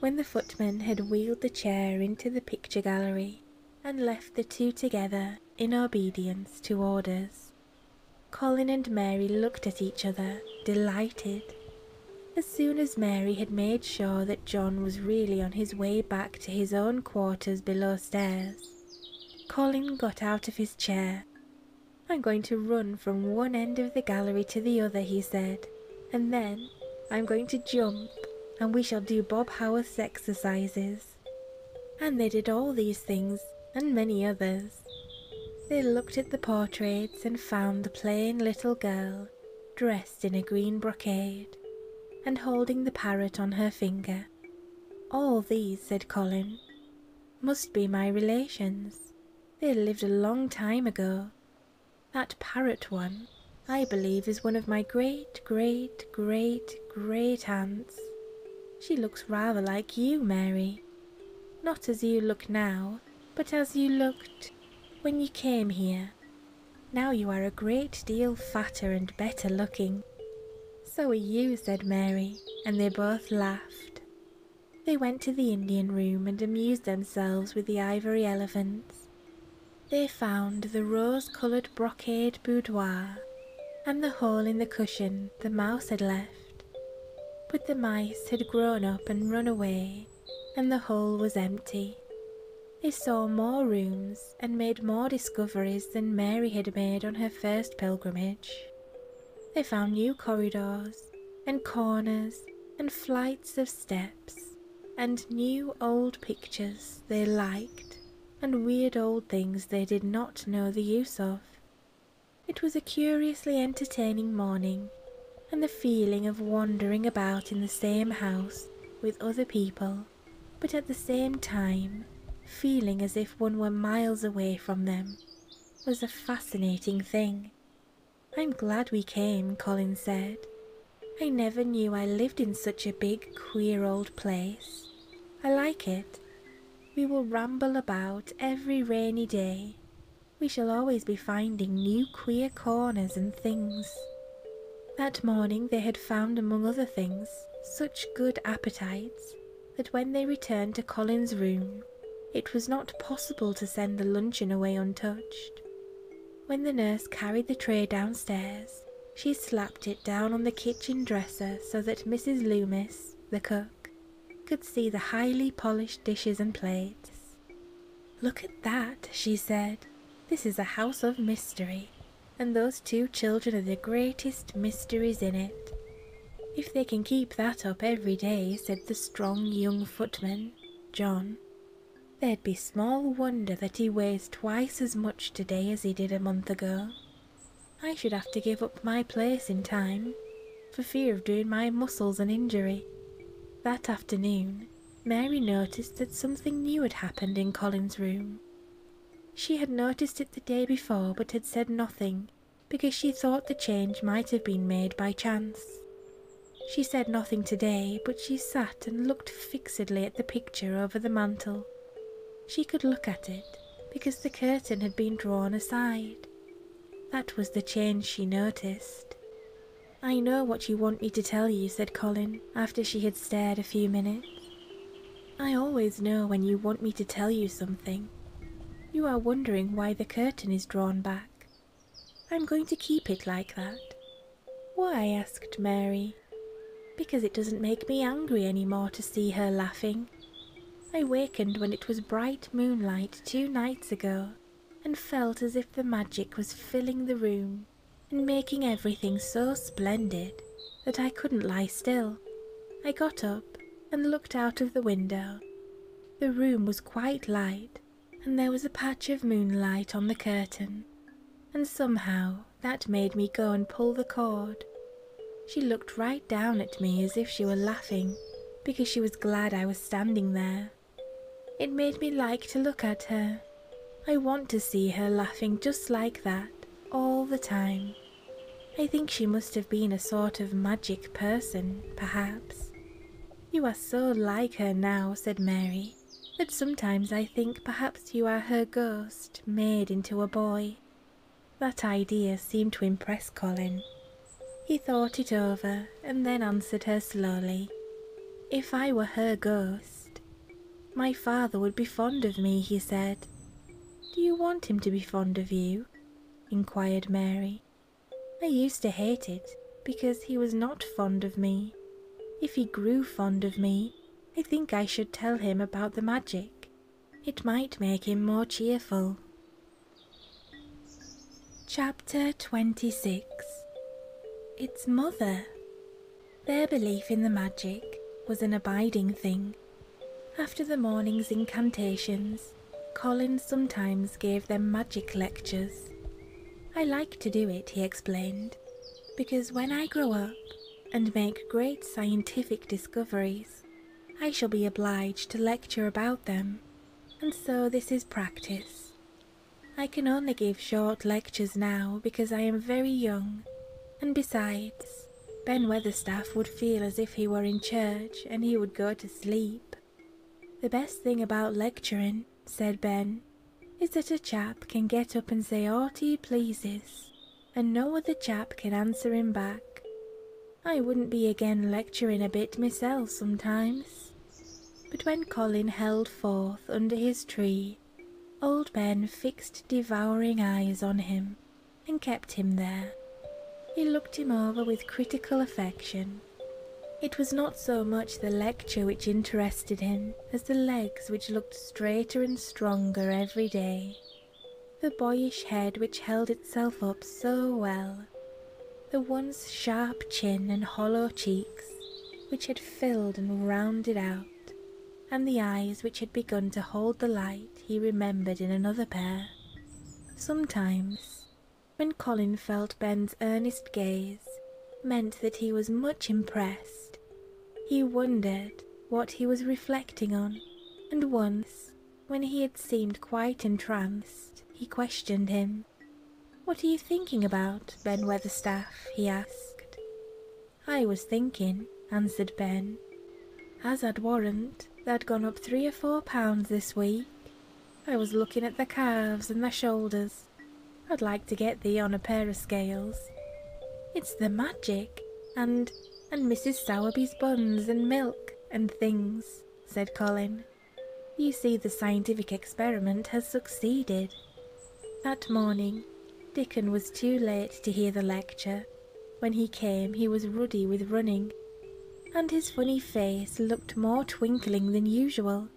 when the footman had wheeled the chair into the picture gallery and left the two together in obedience to orders. Colin and Mary looked at each other, delighted. As soon as Mary had made sure that John was really on his way back to his own quarters below stairs, Colin got out of his chair. I'm going to run from one end of the gallery to the other, he said, and then I'm going to jump and we shall do Bob Howarth's exercises. And they did all these things and many others. They looked at the portraits and found the plain little girl dressed in a green brocade and holding the parrot on her finger. All these, said Colin, must be my relations. They lived a long time ago. That parrot one, I believe, is one of my great, great, great, great aunts. She looks rather like you, Mary. Not as you look now, but as you looked when you came here. Now you are a great deal fatter and better looking. So are you, said Mary, and they both laughed. They went to the Indian room and amused themselves with the ivory elephants. They found the rose-coloured brocade boudoir and the hole in the cushion the mouse had left. But the mice had grown up and run away, and the hole was empty. They saw more rooms and made more discoveries than Mary had made on her first pilgrimage. They found new corridors and corners and flights of steps and new old pictures they liked and weird old things they did not know the use of. It was a curiously entertaining morning, and the feeling of wandering about in the same house with other people, but at the same time feeling as if one were miles away from them, was a fascinating thing. I'm glad we came, Colin said. I never knew I lived in such a big, queer old place. I like it. We will ramble about every rainy day. We shall always be finding new queer corners and things. That morning they had found, among other things, such good appetites that when they returned to Colin's room, it was not possible to send the luncheon away untouched. When the nurse carried the tray downstairs, she slapped it down on the kitchen dresser so that Mrs. Loomis, the cook, could see the highly polished dishes and plates. Look at that, she said. This is a house of mystery, and those two children are the greatest mysteries in it. If they can keep that up every day, said the strong young footman, John, there'd be small wonder that he weighs twice as much today as he did a month ago. I should have to give up my place in time, for fear of doing my muscles an injury. That afternoon, Mary noticed that something new had happened in Colin's room. She had noticed it the day before but had said nothing because she thought the change might have been made by chance. She said nothing today, but she sat and looked fixedly at the picture over the mantel. She could look at it because the curtain had been drawn aside, that was the change she noticed. I know what you want me to tell you, said Colin, after she had stared a few minutes. I always know when you want me to tell you something. You are wondering why the curtain is drawn back. I'm going to keep it like that. Why? asked Mary. Because it doesn't make me angry any more to see her laughing. I wakened when it was bright moonlight two nights ago, and felt as if the magic was filling the room and making everything so splendid that I couldn't lie still. I got up and looked out of the window. The room was quite light, and there was a patch of moonlight on the curtain, and somehow that made me go and pull the cord she looked right down at me as if she were laughing, because she was glad I was standing there. It made me like to look at her. I want to see her laughing just like that, all the time. I think she must have been a sort of magic person, perhaps. You are so like her now, said Mary, that sometimes I think perhaps you are her ghost made into a boy. That idea seemed to impress Colin. He thought it over and then answered her slowly. If I were her ghost, my father would be fond of me, he said. Do you want him to be fond of you? inquired Mary. I used to hate it because he was not fond of me. If he grew fond of me, I think I should tell him about the magic. It might make him more cheerful. Chapter 26 Its Mother. Their belief in the magic was an abiding thing. After the morning's incantations, Colin sometimes gave them magic lectures. I like to do it, he explained, because when I grow up and make great scientific discoveries, I shall be obliged to lecture about them, and so this is practice. I can only give short lectures now because I am very young, and besides, Ben Weatherstaff would feel as if he were in church and he would go to sleep. The best thing about lecturing, said Ben, is that a chap can get up and say aught he pleases, and no other chap can answer him back. I wouldn't be again lecturing a bit myself sometimes. But when Colin held forth under his tree, old Ben fixed devouring eyes on him and kept him there. He looked him over with critical affection. It was not so much the lecture which interested him as the legs which looked straighter and stronger every day the boyish head which held itself up so well, the once sharp chin and hollow cheeks which had filled and rounded out, and the eyes which had begun to hold the light he remembered in another pair. Sometimes, when Colin felt Ben's earnest gaze meant that he was much impressed, he wondered what he was reflecting on, and once when he had seemed quite entranced, he questioned him. What are you thinking about, Ben Weatherstaff? he asked. I was thinking, answered Ben, as I'd warrant they'd gone up three or four pounds this week. I was looking at the calves and the shoulders. I'd like to get thee on a pair of scales. It's the magic, and and Mrs. Sowerby's buns and milk and things said Colin. You see, the scientific experiment has succeeded. That morning, Dickon was too late to hear the lecture. When he came, he was ruddy with running, and his funny face looked more twinkling than usual.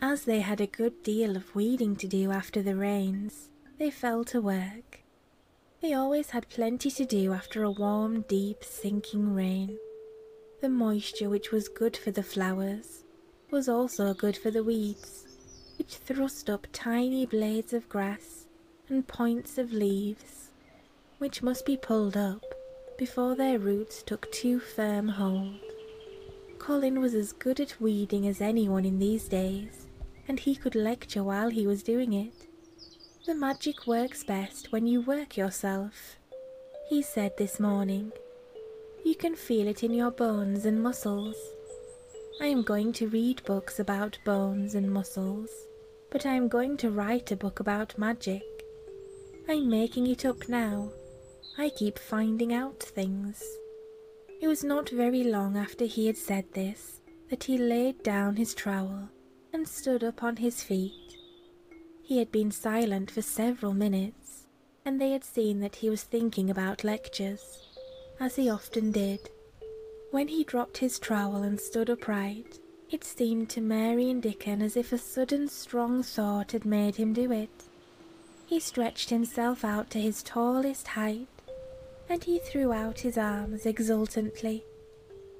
As they had a good deal of weeding to do after the rains, they fell to work. They always had plenty to do after a warm, deep, sinking rain. The moisture, which was good for the flowers, was also good for the weeds, which thrust up tiny blades of grass and points of leaves, which must be pulled up before their roots took too firm hold. Colin was as good at weeding as anyone in these days, and he could lecture while he was doing it. The magic works best when you work yourself, he said this morning. You can feel it in your bones and muscles. I am going to read books about bones and muscles, but I am going to write a book about magic. I'm making it up now. I keep finding out things. It was not very long after he had said this that he laid down his trowel and stood up on his feet. He had been silent for several minutes, and they had seen that he was thinking about lectures, as he often did. When he dropped his trowel and stood upright, it seemed to Mary and Dickon as if a sudden strong thought had made him do it. He stretched himself out to his tallest height, and he threw out his arms exultantly.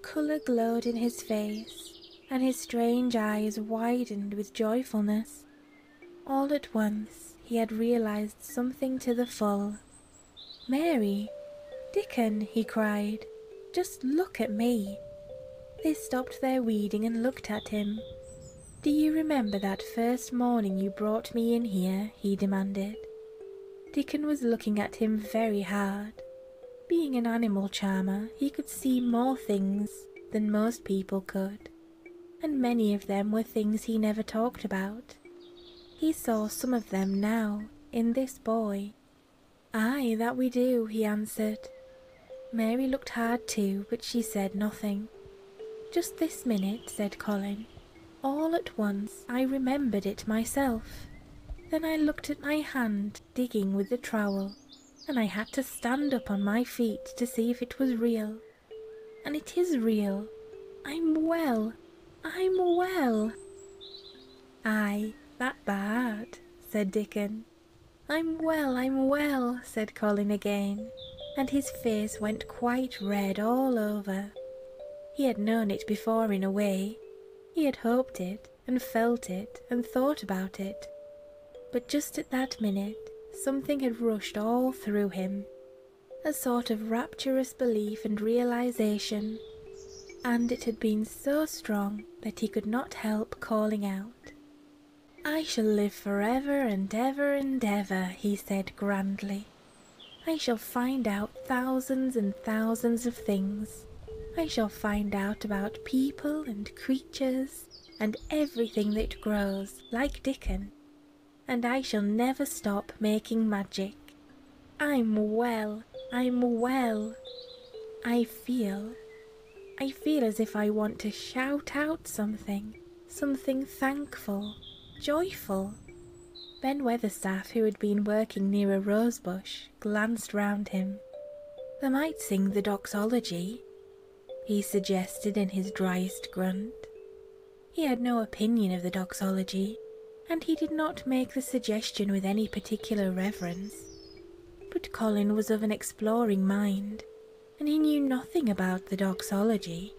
Colour glowed in his face, and his strange eyes widened with joyfulness. All at once he had realized something to the full. Mary, Dickon, he cried, just look at me. They stopped their weeding and looked at him. Do you remember that first morning you brought me in here? he demanded. Dickon was looking at him very hard, being an animal charmer, he could see more things than most people could, and many of them were things he never talked about. He saw some of them now, in this boy. Ay, that we do, he answered. Mary looked hard too, but she said nothing. Just this minute, said Colin. All at once I remembered it myself. Then I looked at my hand digging with the trowel, and I had to stand up on my feet to see if it was real. And it is real. I'm well. I'm well. Aye, that bad, said Dickon. I'm well, I'm well, said Colin again, and his face went quite red all over. He had known it before in a way. He had hoped it, and felt it and thought about it. But just at that minute, something had rushed all through him a sort of rapturous belief and realization, and it had been so strong that he could not help calling out. I shall live forever and ever and ever, he said grandly. I shall find out thousands and thousands of things I shall find out about people and creatures and everything that grows, like Dickon, and I shall never stop making magic. I'm well, I'm well. I feel, I feel as if I want to shout out something, something thankful, joyful. Ben Weatherstaff, who had been working near a rosebush, glanced round him. They might sing the doxology, he suggested in his driest grunt. He had no opinion of the doxology, and he did not make the suggestion with any particular reverence. But Colin was of an exploring mind, and he knew nothing about the doxology.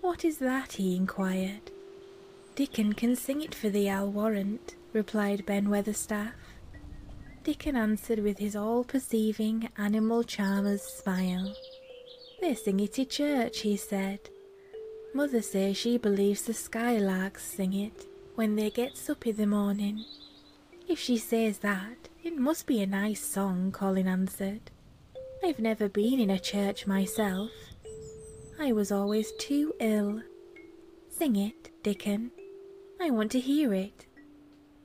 What is that? he inquired. Dickon can sing it for thee, I'll warrant replied Ben Weatherstaff. Dickon answered with his all perceiving animal charmer's smile. They sing it at church, he said. Mother says she believes the skylarks sing it when they get up in the morning. If she says that, it must be a nice song, Colin answered. I've never been in a church myself. I was always too ill. Sing it, Dickon. I want to hear it.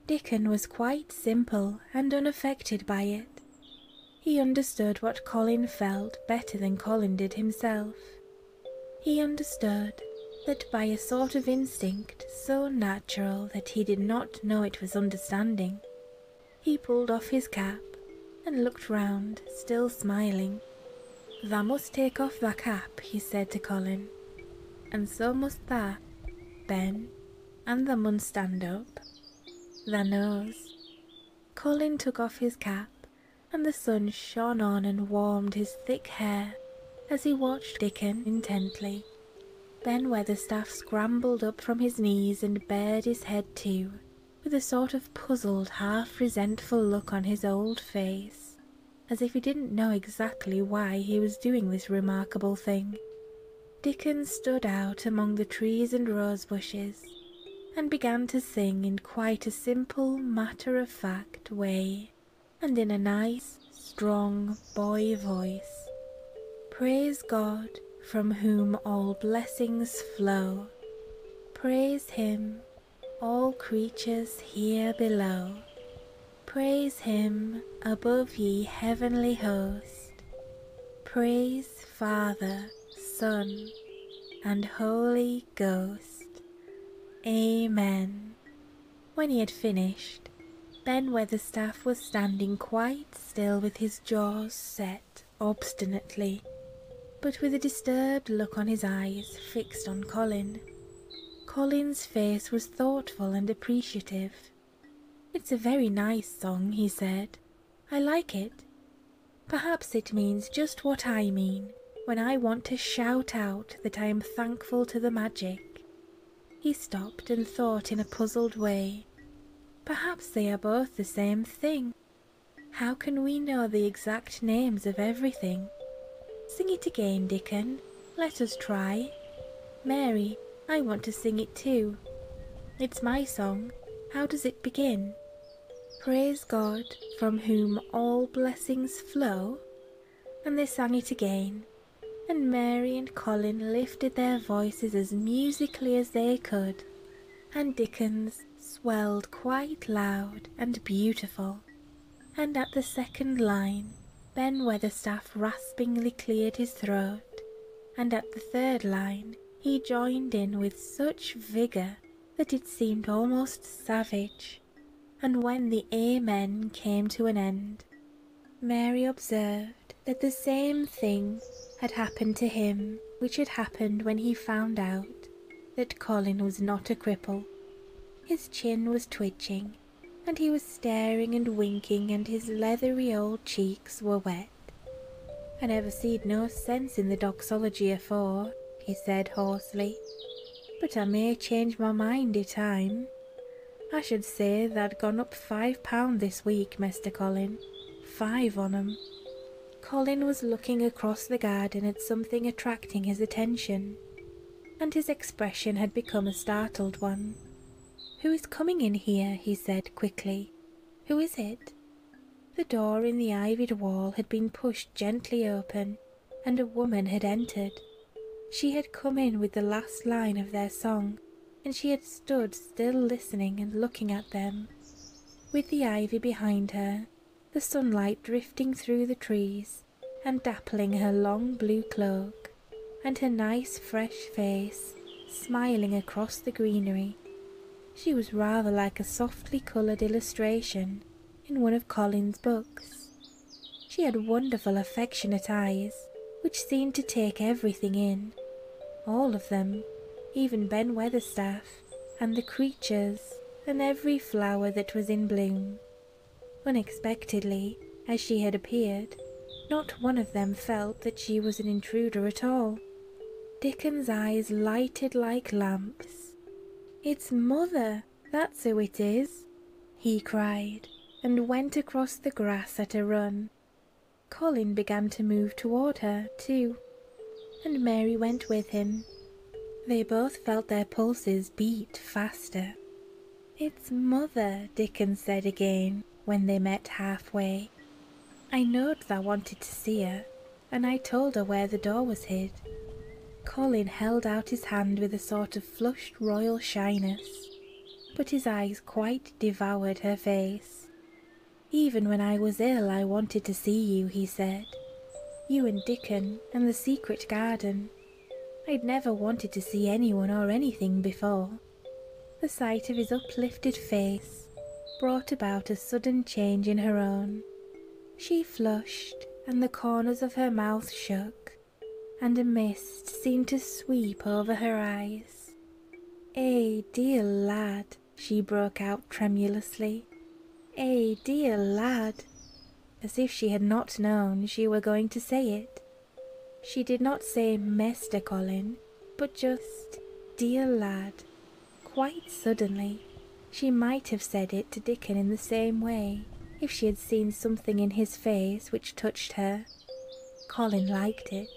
Dickon was quite simple and unaffected by it. He understood what Colin felt better than Colin did himself. He understood that by a sort of instinct so natural that he did not know it was understanding, he pulled off his cap and looked round, still smiling. Thou must take off thy cap, he said to Colin, and so must thou, Ben, and thou mun stand up, thy nose. Colin took off his cap, and the sun shone on and warmed his thick hair as he watched Dickon intently. Ben Weatherstaff scrambled up from his knees and bared his head too, with a sort of puzzled, half resentful look on his old face as if he didn't know exactly why he was doing this remarkable thing. Dickon stood out among the trees and rose bushes and began to sing in quite a simple, matter of fact way and in a nice, strong boy voice. Praise God from whom all blessings flow. Praise Him all creatures here below. Praise him above ye heavenly host. Praise Father, Son, and Holy Ghost. Amen. When he had finished, Ben Weatherstaff was standing quite still with his jaws set obstinately, but with a disturbed look on his eyes fixed on Colin. Colin's face was thoughtful and appreciative. It's a very nice song, he said. I like it. Perhaps it means just what I mean when I want to shout out that I am thankful to the magic. He stopped and thought in a puzzled way. Perhaps they are both the same thing. How can we know the exact names of everything? Sing it again, Dickon. Let us try. Mary, I want to sing it too. It's my song. How does it begin? Praise God, from whom all blessings flow. And they sang it again, and Mary and Colin lifted their voices as musically as they could, and Dickens swelled quite loud and beautiful and at the second line Ben Weatherstaff raspingly cleared his throat, and at the third line he joined in with such vigour that it seemed almost savage. And when the Amen came to an end, Mary observed that the same thing had happened to him which had happened when he found out that Colin was not a cripple, his chin was twitching, and he was staring and winking, and his leathery old cheeks were wet. I never seed no sense in the doxology afore, he said hoarsely, but I may change my mind i' time. I should say they'd gone up five pound this week, Mester Colin. Five on 'em. Colin was looking across the garden at something attracting his attention and his expression had become a startled one. Who is coming in here? he said quickly. Who is it? The door in the ivied wall had been pushed gently open, and a woman had entered. She had come in with the last line of their song, and she had stood still listening and looking at them. With the ivy behind her, the sunlight drifting through the trees, and dappling her long blue cloak, and her nice fresh face smiling across the greenery. She was rather like a softly coloured illustration in one of Colin's books. She had wonderful affectionate eyes, which seemed to take everything in, all of them, even Ben Weatherstaff, and the creatures, and every flower that was in bloom. Unexpectedly, as she had appeared, not one of them felt that she was an intruder at all. Dickon's eyes lighted like lamps. It's mother, that's who it is, he cried, and went across the grass at a run. Colin began to move toward her, too, and Mary went with him, they both felt their pulses beat faster. It's mother, Dickon said again when they met halfway. I knowed thou wanted to see her, and I told her where the door was hid. Colin held out his hand with a sort of flushed royal shyness, but his eyes quite devoured her face. Even when I was ill, I wanted to see you, he said. You and Dickon, and the secret garden, I'd never wanted to see anyone or anything before. The sight of his uplifted face brought about a sudden change in her own. She flushed, and the corners of her mouth shook, and a mist seemed to sweep over her eyes. Eh, dear lad, she broke out tremulously. Eh, dear lad, as if she had not known she were going to say it. She did not say Mester Colin, but just dear lad. Quite suddenly, she might have said it to Dickon in the same way if she had seen something in his face which touched her. Colin liked it.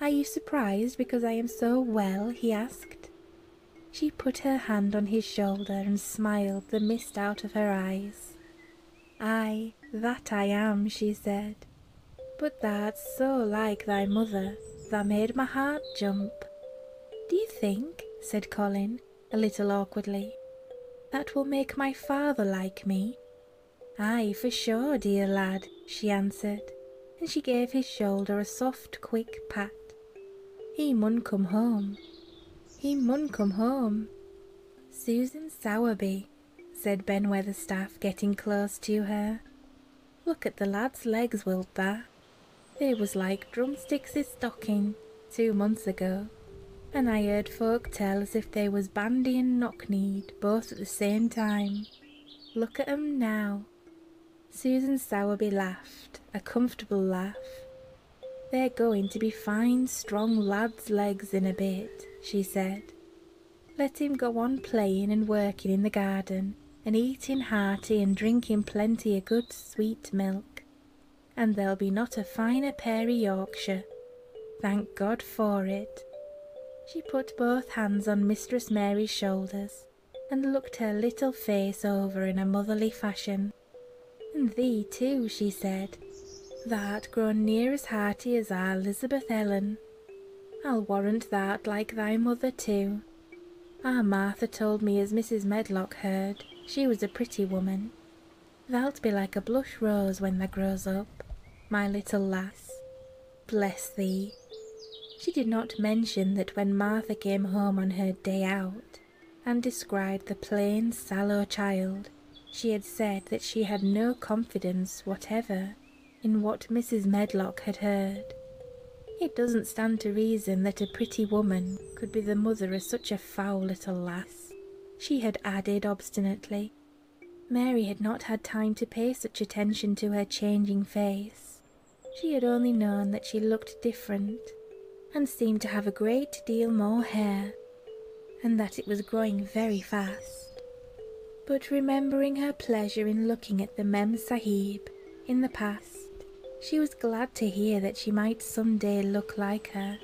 Are you surprised because I am so well? he asked. She put her hand on his shoulder and smiled the out of her eyes. Ay, that I am, she said. But that's so like thy mother, that made my heart jump. Do you think, said Colin, a little awkwardly, that will make my father like me? Ay, for sure, dear lad, she answered, and she gave his shoulder a soft, quick pat. He mun come home. He mun come home. Susan Sowerby, said Ben Weatherstaff, getting close to her. Look at the lad's legs, wilt thou? They was like drumsticks i' stocking two months ago, and I heard folk tell as if they was bandy and knock-kneed both at the same time. Look at 'em now. Susan Sowerby laughed, a comfortable laugh, they're going to be fine, strong lads' legs in a bit, she said. Let him go on playing and working in the garden, and eating hearty and drinking plenty of good sweet milk, and there'll be not a finer pair i Yorkshire. Thank God for it. She put both hands on Mistress Mary's shoulders, and looked her little face over in a motherly fashion. And thee too, she said, thou'rt grown near as hearty as our Elizabeth Ellen. I'll warrant thou'rt like thy mother too. Our ah, Martha told me as Mrs. Medlock heard, she was a pretty woman. Thou'lt be like a blush rose when thou grows up, my little lass. Bless thee. She did not mention that when Martha came home on her day out, and described the plain, sallow child, she had said that she had no confidence whatever in what Mrs. Medlock had heard. It doesn't stand to reason that a pretty woman could be the mother of such a foul little lass, she had added obstinately. Mary had not had time to pay such attention to her changing face. She had only known that she looked different, and seemed to have a great deal more hair, and that it was growing very fast. But remembering her pleasure in looking at the Mem Sahib in the past, she was glad to hear that she might some day look like her.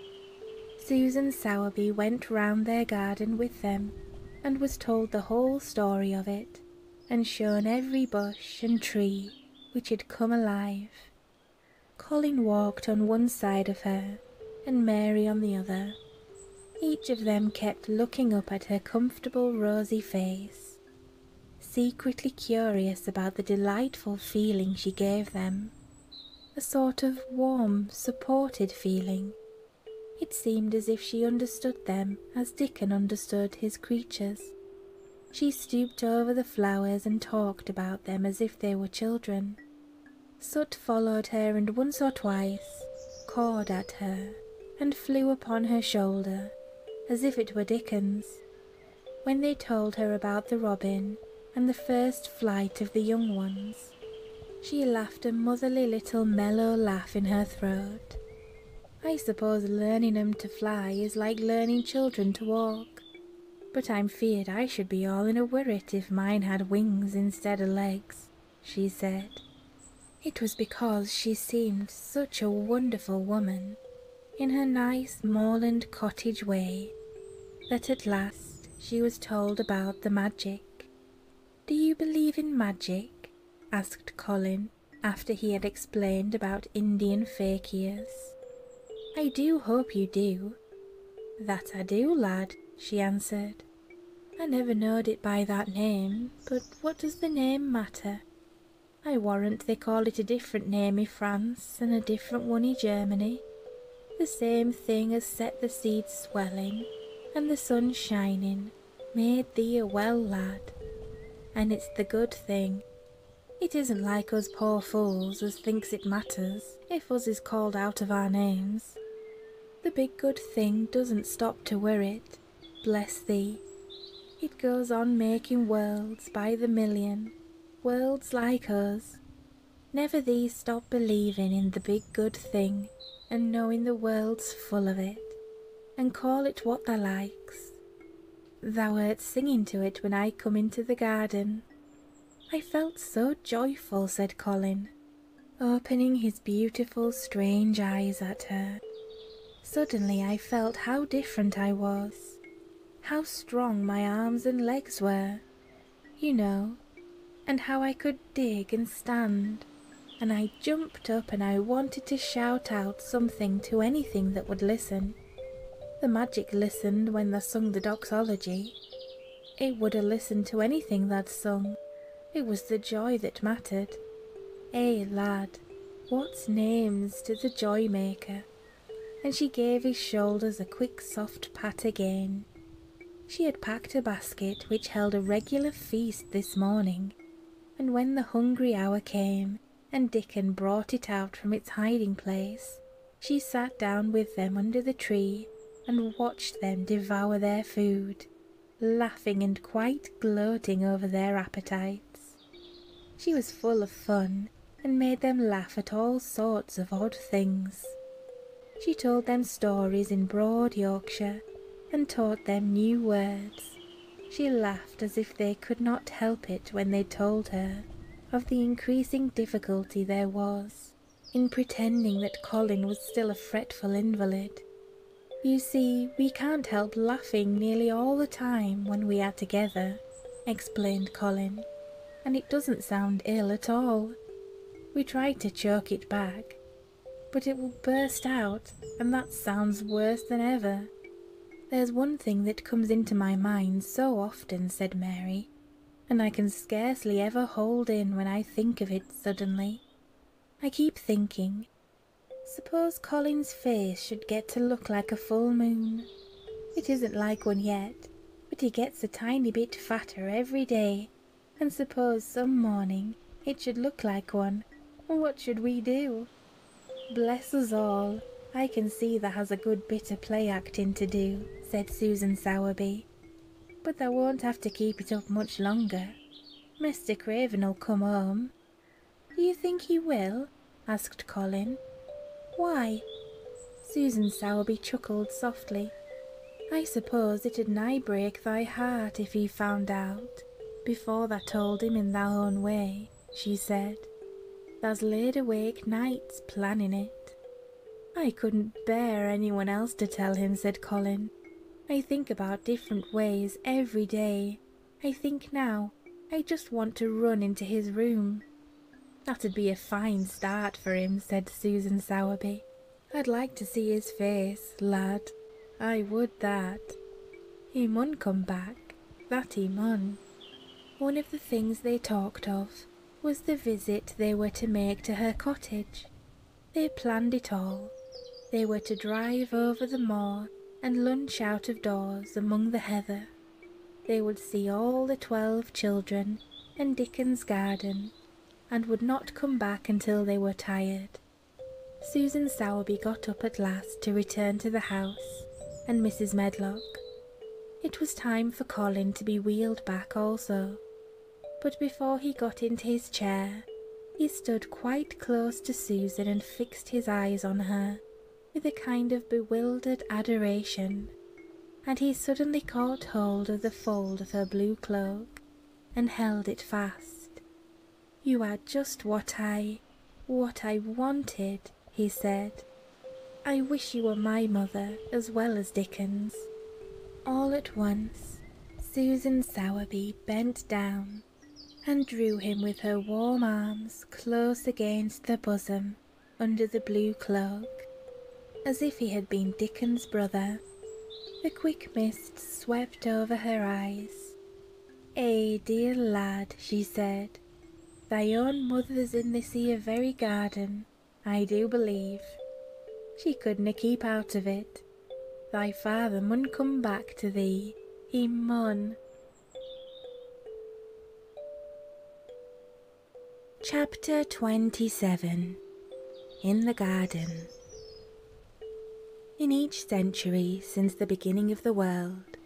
Susan Sowerby went round their garden with them and was told the whole story of it and shown every bush and tree which had come alive Colin walked on one side of her and Mary on the other. Each of them kept looking up at her comfortable rosy face, secretly curious about the delightful feeling she gave them, a sort of warm, supported feeling. It seemed as if she understood them as Dickon understood his creatures. She stooped over the flowers and talked about them as if if they were children. Soot followed her and once or twice cawed at her and flew upon her shoulder as if it were Dickens. When they told her about the robin and the first flight of the young ones, she laughed a motherly little mellow laugh in her throat. I suppose learning 'em to fly is like learning children to walk but I'm feared I should be all in a worrit if mine had wings instead of legs, she said. It was because she seemed such a wonderful woman, in her nice moorland cottage way, that at last she was told about the magic. Do you believe in magic? asked Colin after he had explained about Indian fakirs. I do hope you do, that I do, lad, she answered. I never knowed it by that name, but what does the name matter? I warrant they call it a different name in France and a different one in Germany. The same thing as set the seeds swelling and the sun shining, made thee a well lad. And it's the good thing, it isn't like us poor fools as thinks it matters if us is called out of our names. The big good thing doesn't stop to wear it, bless thee. It goes on making worlds by the million, worlds like us. Never thee stop believing in the big good thing and knowing the world's full of it, and call it what thou likes. Thou art singing to it when I come into the garden. I felt so joyful, said Colin, opening his beautiful, strange eyes at her. Suddenly I felt how different I was, how strong my arms and legs were, you know, and how I could dig and stand. And I jumped up and I wanted to shout out something to anything that would listen. The magic listened when they sung the doxology. It would a listened to anything they'd sung. It was the joy that mattered. Eh, lad, What names did the joy maker? And she gave his shoulders a quick soft pat again. She had packed a basket which held a regular feast this morning, and when the hungry hour came, and Dickon brought it out from its hiding place, she sat down with them under the tree and watched them devour their food, laughing and quite gloating over their appetites. She was full of fun and made them laugh at all sorts of odd things. She told them stories in broad Yorkshire and taught them new words. She laughed as if they could not help it when they told her of the increasing difficulty there was in pretending that Colin was still a fretful invalid. You see, we can't help laughing nearly all the time when we are together, explained Colin, and it doesn't sound ill at all. We try to choke it back, but it will burst out, and that sounds worse than ever. There's one thing that comes into my mind so often, said Mary, and I can scarcely ever hold in when I think of it suddenly. I keep thinking, suppose Colin's face should get to look like a full moon. It isn't like one yet, but he gets a tiny bit fatter every day, and suppose some morning it should look like one. What should we do? Bless us all, I can see there has a good bit of play acting to do said Susan Sowerby. But thou won't have to keep it up much longer. Mr. Craven'll come home. Do you think he will? asked Colin. Why? Susan Sowerby chuckled softly. I suppose it'd nigh break thy heart if he found out, before thou told him in thy own way, she said. Thou's laid awake nights planning it. I couldn't bear anyone else to tell him, said Colin. I think about different ways every day. I think now I just want to run into his room. That'd be a fine start for him, said Susan Sowerby. I'd like to see his face, lad. I would that. He mun come back, that he mun. One of the things they talked of was the visit they were to make to her cottage. They planned it all. They were to drive over the moor and lunch out of doors among the heather. They would see all the twelve children in Dickon's garden, and would not come back until they were tired. Susan Sowerby got up at last to return to the house, and Mrs. Medlock, it was time for Colin to be wheeled back also, but before he got into his chair, he stood quite close to Susan and fixed his eyes on her with a kind of bewildered adoration, and he suddenly caught hold of the fold of her blue cloak and held it fast. You are just what I, what I wanted, he said, I wish you were my mother as well as Dickens. All at once, Susan Sowerby bent down and drew him with her warm arms close against the bosom under the blue cloak, as if he had been Dickens' brother. The quick mist swept over her eyes. Eh, dear lad, she said, thy own mother's in this here very garden, I do believe. She couldna keep out of it. Thy father mun come back to thee, he mun. Chapter 27 In the Garden In each century since the beginning of the world,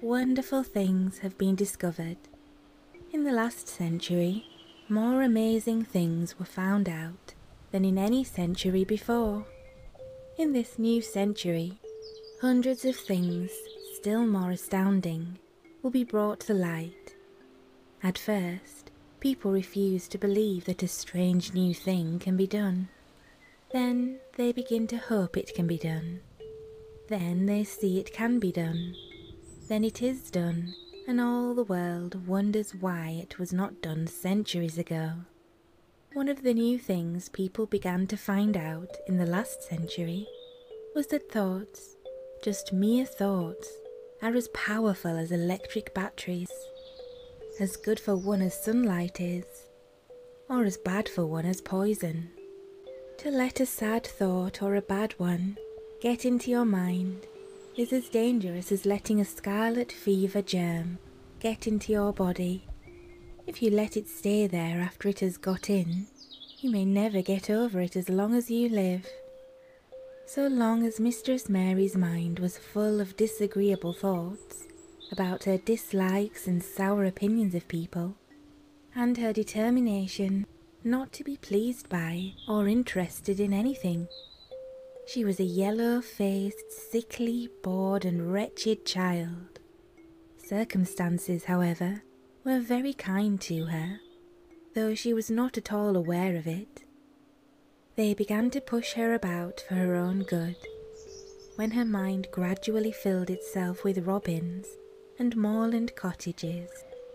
wonderful things have been discovered in the last century, more amazing things were found out than in any century before. In this new century, hundreds of things still more astounding will be brought to light. At first, people refuse to believe that a strange new thing can be done. Then they begin to hope it can be done. Then they see it can be done. Then it is done, and all the world wonders why it was not done centuries ago. One of the new things people began to find out in the last century was that thoughts, just mere thoughts, are as powerful as electric batteries, as good for one as sunlight is, or as bad for one as poison. To let a sad thought or a bad one get into your mind is as dangerous as letting a scarlet fever germ get into your body. If you let it stay there after it has got in, you may never get over it as long as you live. So long as Mistress Mary's mind was full of disagreeable thoughts about her dislikes and sour opinions of people, and her determination not to be pleased by or interested in anything. She was a yellow faced, sickly, bored, and wretched child. Circumstances, however, were very kind to her, though she was not at all aware of it. They began to push her about for her own good. When her mind gradually filled itself with robins, and moorland cottages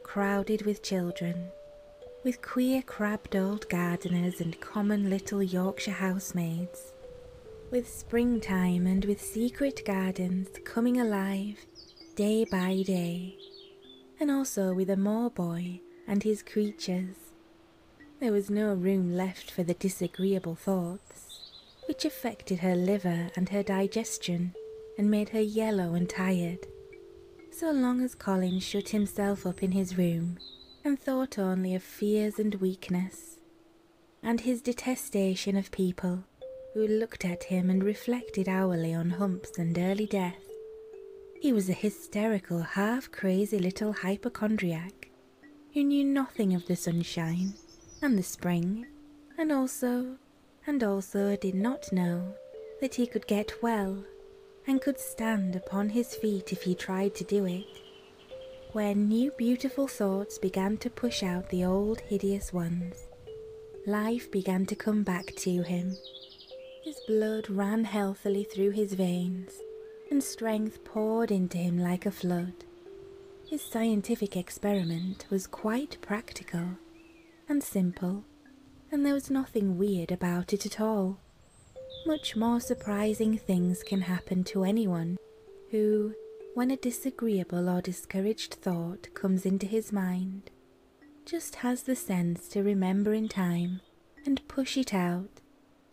crowded with children, with queer crabbed old gardeners and common little Yorkshire housemaids, with springtime and with secret gardens coming alive day by day, and also with a moor boy and his creatures. There was no room left for the disagreeable thoughts, which affected her liver and her digestion and made her yellow and tired, so long as Colin shut himself up in his room and thought only of fears and weakness, and his detestation of people who looked at him and reflected hourly on humps and early death. He was a hysterical, half crazy little hypochondriac who knew nothing of the sunshine and the spring, and also and also did not know that he could get well and could stand upon his feet if he tried to do it. When new beautiful thoughts began to push out the old hideous ones, life began to come back to him. His blood ran healthily through his veins, and strength poured into him like a flood. His scientific experiment was quite practical, and simple, and there was nothing weird about it at all. Much more surprising things can happen to anyone who, when a disagreeable or discouraged thought comes into his mind, just has the sense to remember in time and push it out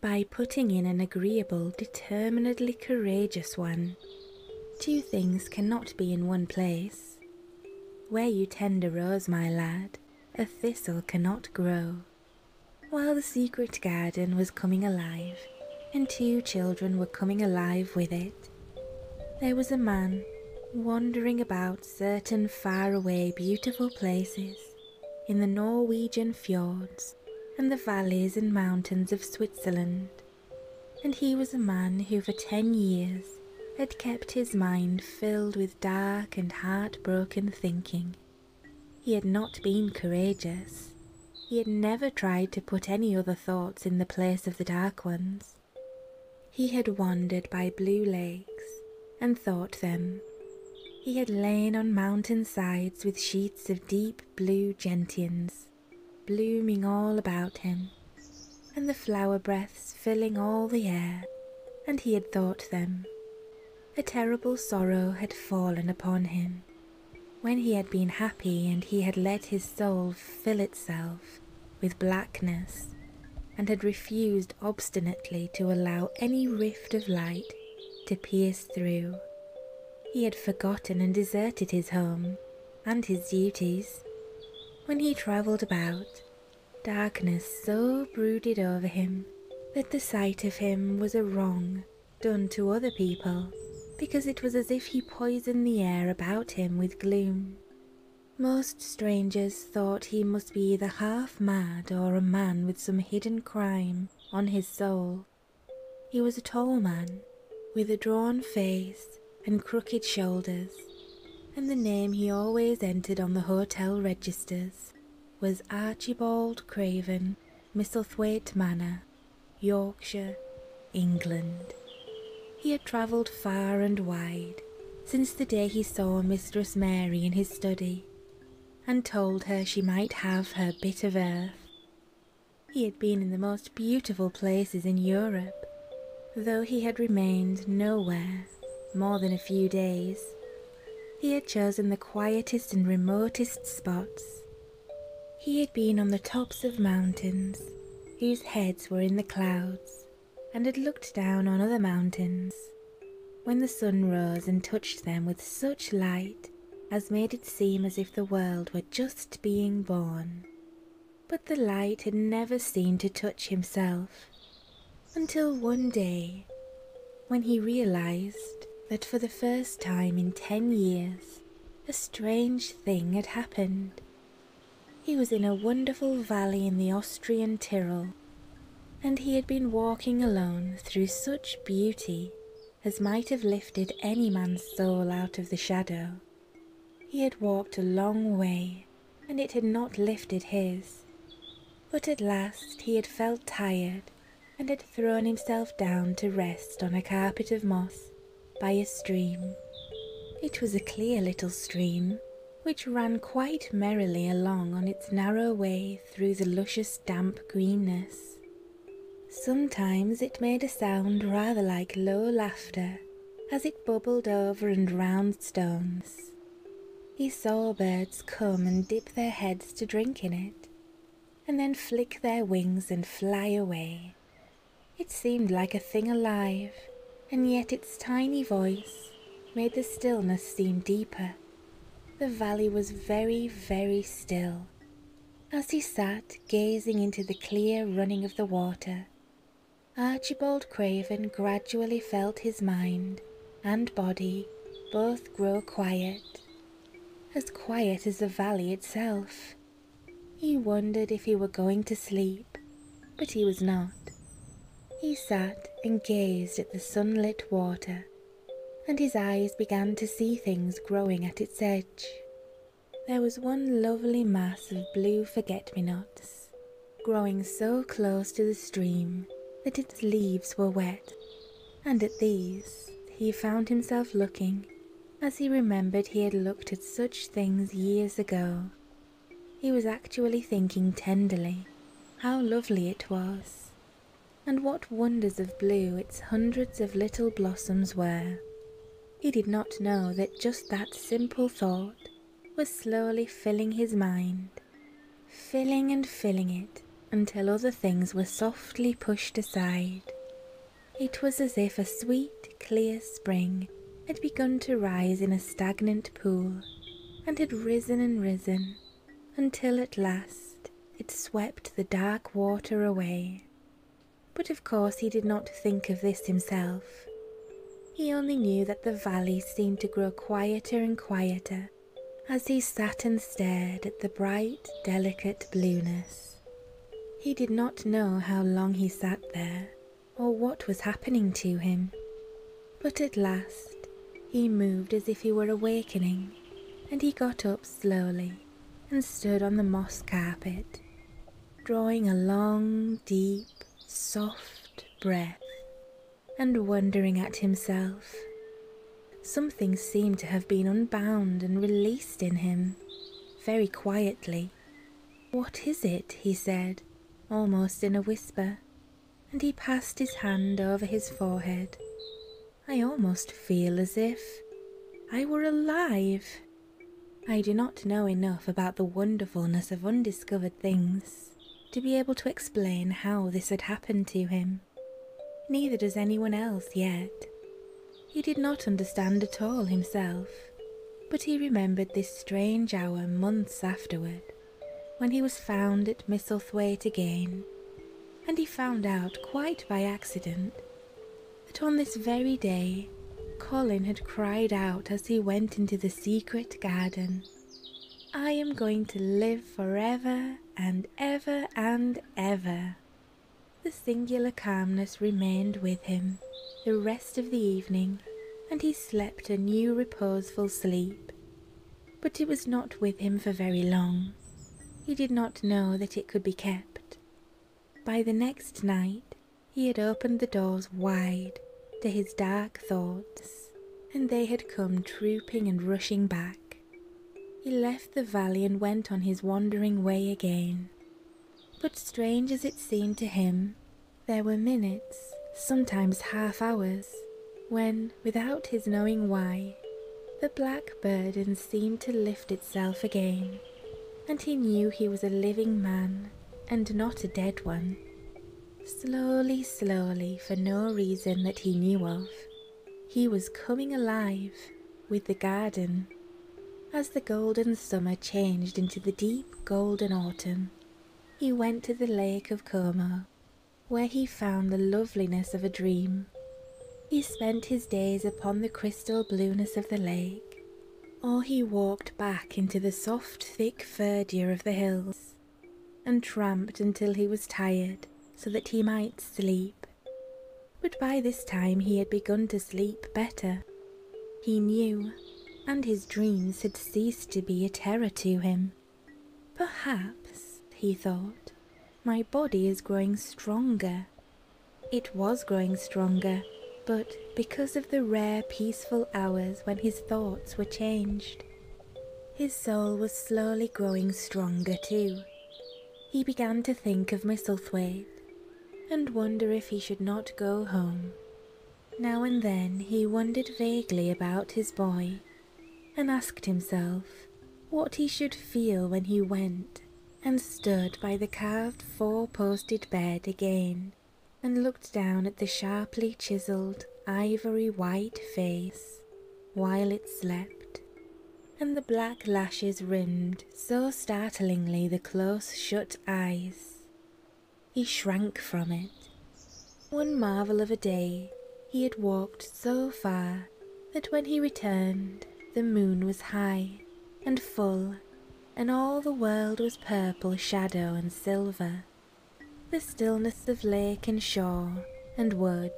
by putting in an agreeable, determinedly courageous one. Two things cannot be in one place, where you tender rose, my lad, a thistle cannot grow. While the secret garden was coming alive, and two children were coming alive with it, there was a man wandering about certain faraway beautiful places in the Norwegian fjords and the valleys and mountains of Switzerland. And he was a man who for ten years had kept his mind filled with dark and heartbroken thinking. He had not been courageous. He had never tried to put any other thoughts in the place of the dark ones. He had wandered by blue lakes and thought them. He had lain on mountain sides with sheets of deep blue gentians blooming all about him and the flower breaths filling all the air, and he had thought them. A terrible sorrow had fallen upon him. When he had been happy and he had let his soul fill itself with blackness, and had refused obstinately to allow any rift of light to pierce through. He had forgotten and deserted his home and his duties. When he travelled about, Darkness so brooded over him that the sight of him was a wrong done to other people, because it was as if he poisoned the air about him with gloom. Most strangers thought he must be either half mad or a man with some hidden crime on his soul. He was a tall man, with a drawn face and crooked shoulders, and the name he always entered on the hotel registers was Archibald Craven, Misselthwaite Manor, Yorkshire, England. He had travelled far and wide since the day he saw Mistress Mary in his study and told her she might have her bit of earth. He had been in the most beautiful places in Europe, though he had remained nowhere more than a few days, he had chosen the quietest and remotest spots. He had been on the tops of mountains, whose heads were in the clouds, and had looked down on other mountains. When the sun rose and touched them with such light as made it seem as if the world were just being born, but the light had never seemed to touch himself until one day when he realized that for the first time in ten years a strange thing had happened. He was in a wonderful valley in the Austrian Tyrol, and he had been walking alone through such beauty as might have lifted any man's soul out of the shadow. He had walked a long way and it had not lifted his. But at last he had felt tired and had thrown himself down to rest on a carpet of moss by a stream. It was a clear little stream which ran quite merrily along on its narrow way through the luscious damp greenness. Sometimes it made a sound rather like low laughter as it bubbled over and round stones, he saw birds come and dip their heads to drink in it, and then flick their wings and fly away. It seemed like a thing alive, and yet its tiny voice made the stillness seem deeper. The valley was very, very still. As he sat gazing into the clear running of the water, Archibald Craven gradually felt his mind and body both grow quiet, as quiet as the valley itself. He wondered if he were going to sleep, but he was not. He sat and gazed at the sunlit water, and his eyes began to see things growing at its edge. There was one lovely mass of blue forget-me-nots growing so close to the stream that its leaves were wet, and at these he found himself looking as he remembered he had looked at such things years ago. He was actually thinking tenderly how lovely it was, and what wonders of blue its hundreds of little blossoms were. He did not know that just that simple thought was slowly filling his mind, filling and filling it until other things were softly pushed aside. It was as if a sweet, clear spring had begun to rise in a stagnant pool and had risen and risen until at last it swept the dark water away. But of course he did not think of this himself. He only knew that the valley seemed to grow quieter and quieter as he sat and stared at the bright, delicate blueness. He did not know how long he sat there or what was happening to him, but at last he moved as if he were awakening, and he got up slowly and stood on the moss carpet, drawing a long, deep, soft breath and wondering at himself. Something seemed to have been unbound and released in him, very quietly. What is it? he said, almost in a whisper, and he passed his hand over his forehead. I almost feel as if I were alive. I do not know enough about the wonderfulness of undiscovered things to be able to explain how this had happened to him. Neither does anyone else yet. He did not understand at all himself, but he remembered this strange hour months afterward, when he was found at Misselthwaite again, and he found out quite by accident that on this very day Colin had cried out as he went into the secret garden I am going to live for ever and ever and ever. The singular calmness remained with him the rest of the evening, and he slept a new reposeful sleep. But it was not with him for very long. He did not know that it could be kept. By the next night, he had opened the doors wide to his dark thoughts, and they had come trooping and rushing back. He left the valley and went on his wandering way again. But strange as it seemed to him, there were minutes, sometimes half hours, when, without his knowing why, the black burden seemed to lift itself again, and he knew he was a living man and not a dead one. Slowly, slowly, for no reason that he knew of, he was coming alive with the garden as the golden summer changed into the deep golden autumn. He went to the lake of Como, where he found the loveliness of a dream. He spent his days upon the crystal blueness of the lake, or he walked back into the soft, thick verdure of the hills and tramped until he was tired so that he might sleep. But by this time he had begun to sleep better. He knew, and his dreams had ceased to be a terror to him. Perhaps, he thought, my body is growing stronger. It was growing stronger, but because of the rare peaceful hours when his thoughts were changed, his soul was slowly growing stronger too. He began to think of Misselthwaite and wonder if he should not go home. Now and then he wondered vaguely about his boy and asked himself what he should feel when he went and stood by the carved four posted bed again and looked down at the sharply chiselled ivory white face while it slept, and the black lashes rimmed so startlingly the close shut eyes. He shrank from it. One marvel of a day, he had walked so far that when he returned, the moon was high and full, and all the world was purple shadow and silver. The stillness of lake and shore and wood